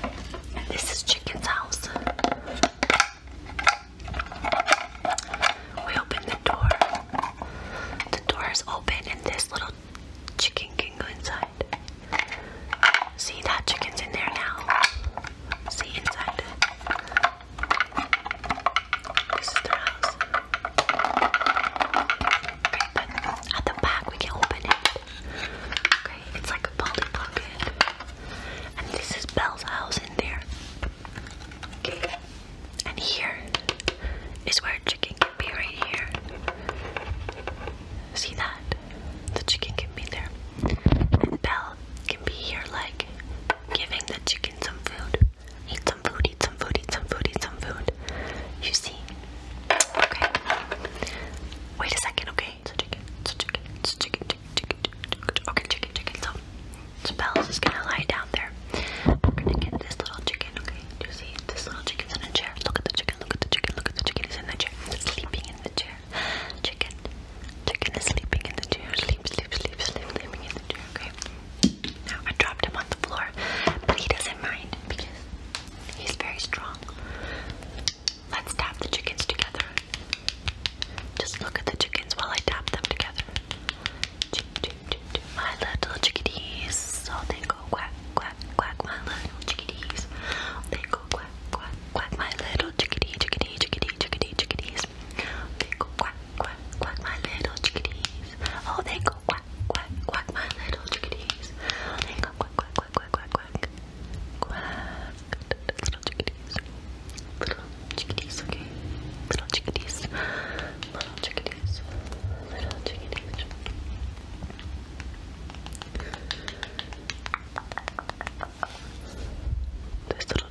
And this is chicken's house. We open the door. The door is open and this little chicken can go inside. See that chicken's in there now. See inside. This is their house. but at the back we can open it. Okay, it's like a pocket. And this is Belle's house in there. Okay. And here is where chicken can be right here. See that? The chicken can be there. And Belle can be here like giving the chicken some food. Eat some food, some food, some food, some food. You see? Okay. Wait a second, okay? So chicken, so chicken, so chicken, chicken, chicken, chicken. Okay, chicken, chicken. So, so Belle's is gonna lie down there. We're gonna get this little chicken, okay? you see? This little chicken's in a chair. Look at the chicken, look at the chicken, look at the chicken. He's in the chair. Sleeping in the chair. Chicken. Chicken is sleeping in the chair. Sleep, sleep, sleep, sleeping in the chair, okay? Now I dropped him on the floor, but he doesn't mind because he's very strong. Let's tap the chickens together. Just look at the chickens while I tap them together. My little chickadees, oh they go quack, quack, quack, my little chickadees. They go quack, quack, quack, my little chickadee, chickadee, chickadee, chickadee, chickadees. They go quack, quack, quack, my little chickadees. Oh, they go quack, quack, quack, my little chickadees. they go quack, quack, quack, quack, quack, quack. Quack, little chickadees. Little chickadees, okay? Little chickadees. Little chickadees. Little chickadees. This little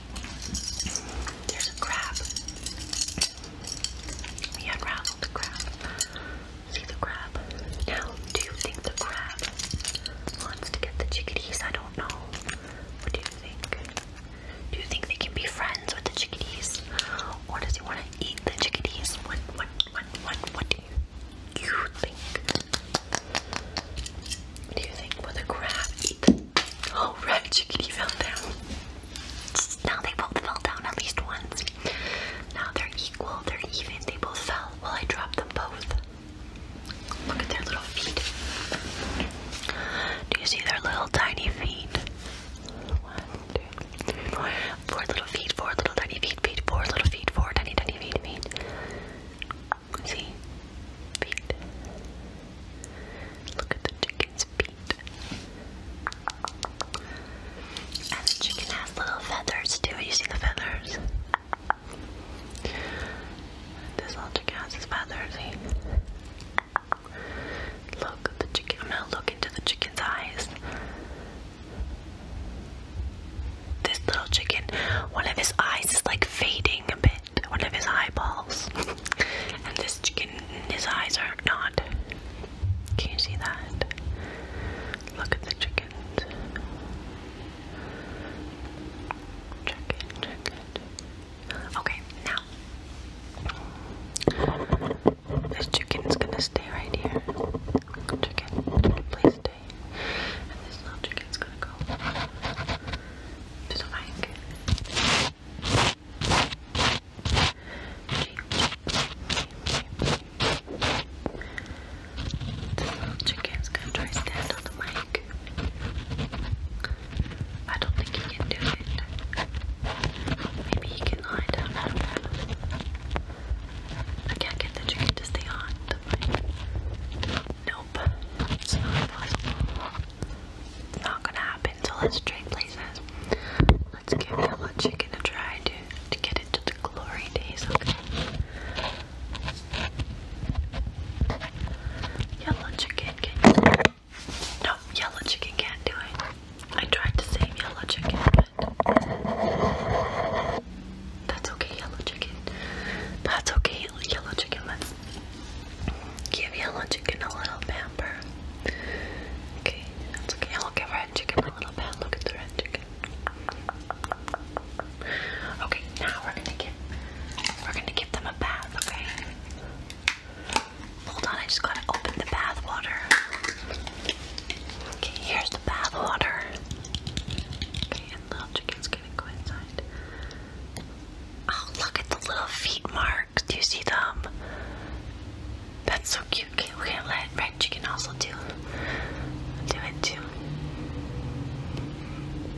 there's a crab. We unraveled the crab. See the crab? do you think the crab wants to get the chickadees? I don't know. What do you think? Do you think they can be friends with the chickadees? Or does he want to eat the chickadees? What, what, what, what, what do you, you think? What do you think? Will the crab eat Oh, right, Chickadee fell down. Now they both fell down at least once. Now they're equal, they're even, they both fell. Well, I dropped them both. Look at their little feet. Do you see their little tiny feet? three, four. Four little feet, four little tiny feet, feet, four little feet, four tiny tiny feet, feet. See? Feet. Look at the chicken's and the chicken has little feathers too. You see the feathers? This little chicken has his feathers. Look the chicken. I'm gonna look into the chicken's eyes. This little chicken, one of his eyes is like fading a bit one of his eyeballs. and this chicken, his eyes are not. Can you see that? Look at the chickens. Chicken, chicken. Okay, now. This chicken's gonna stay right here. Chicken, chicken please stay. And this little chicken's gonna go to the mic chicken's gonna try to stand on the mic. I don't think he can do it. Maybe he can lie down. I can't get the chicken to stay on Nope, it's not possible not gonna happen, so let's trade places. Let's give yellow chicken a try to, to get into the glory days, okay? Yellow chicken can No, yellow chicken can't do it. I tried to save yellow chicken, but that's okay, yellow chicken. That's okay, yellow chicken. Let's Give a little chicken a little pamper. Okay, that's okay. I'll give red chicken a little bath. Look at the red chicken. Okay, now we're gonna give we're gonna give them a bath, okay? Hold on, I just gotta open the bath water. Okay, here's the bath water. Okay, and little chicken's gonna go inside. Oh, look at the little feet marks. Do you see them? That's so cute. Okay, we're gonna let Red Chicken also do, do it too.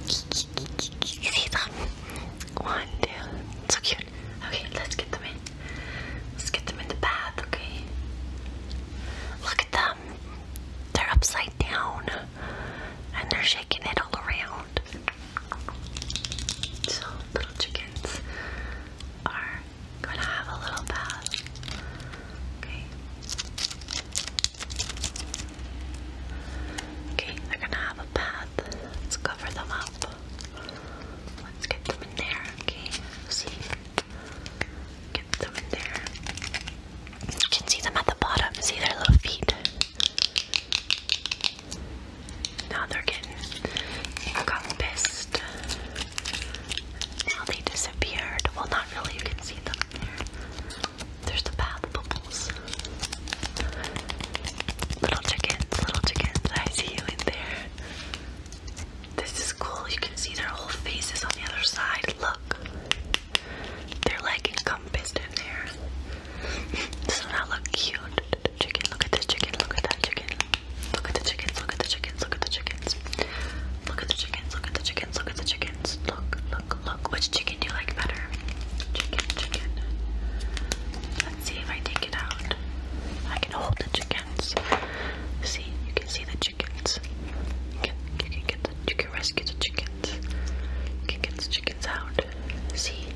see them? One, two. So cute. Okay, let's get them in. Let's get them in the bath, okay? Look at them. They're upside down and they're shaking it all around. So little chickens are gonna have a little bath. Okay. Okay, they're gonna have a bath. Let's cover them up. Let's get them in there. Okay, see. Get them in there. You can see them at the bottom. See their little feet. Now they're getting encompassed. Now they disappeared. Well, not really, you can see them there. There's the bath bubbles. Little chickens, little chickens, I see you in there. This is cool, you can see their whole faces on the other side. Look, they're like encompassed in there. <laughs> Doesn't that look cute? Chicken, look at this chicken, look at that chicken. Look at the chickens, look at the chickens, look at the chickens. Look at the chickens, look at the chickens, look at the chickens. Look, look, look. Which chicken do you like better? Chicken, chicken. Let's see if I take it out. I can hold the chickens. See, you can see the chickens. You can, you can get the, you can rescue the chickens. You can get the chickens out. See,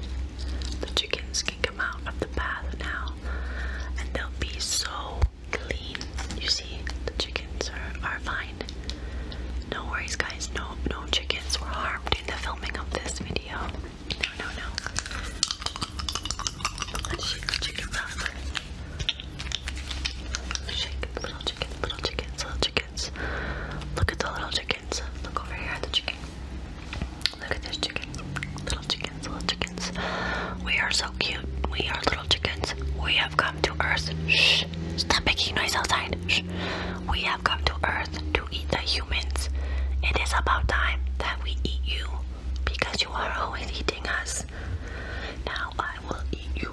the chickens come out of the bath now and they'll be so clean. You see, the chickens are, are fine. No worries, guys. No, no chickens were harmed in the filming of this video. No, no, no. shake the little chickens, little chickens, little chickens. Look at the little chickens. Look over here the chicken. Look at those chickens. Little chickens, little chickens. We are so cute. We are little chickens. We have come to Earth. Shh. Stop making noise outside. Shh. We have come to Earth to eat the humans. It is about time that we eat you because you are always eating us. Now I will eat you.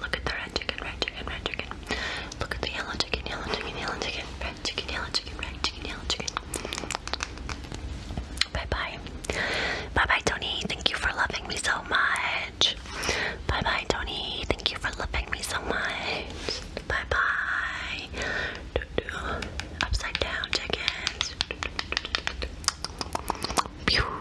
Look at the red chicken, red chicken, red chicken. Look at the yellow chicken, yellow chicken, yellow chicken, red chicken, yellow chicken, red chicken, yellow chicken. Bye bye. Bye bye, Tony. Thank you for loving me so much. Bye bye, Tony. Thank you for loving me so much. Bye bye. Doo -doo. Upside down chickens. Pew.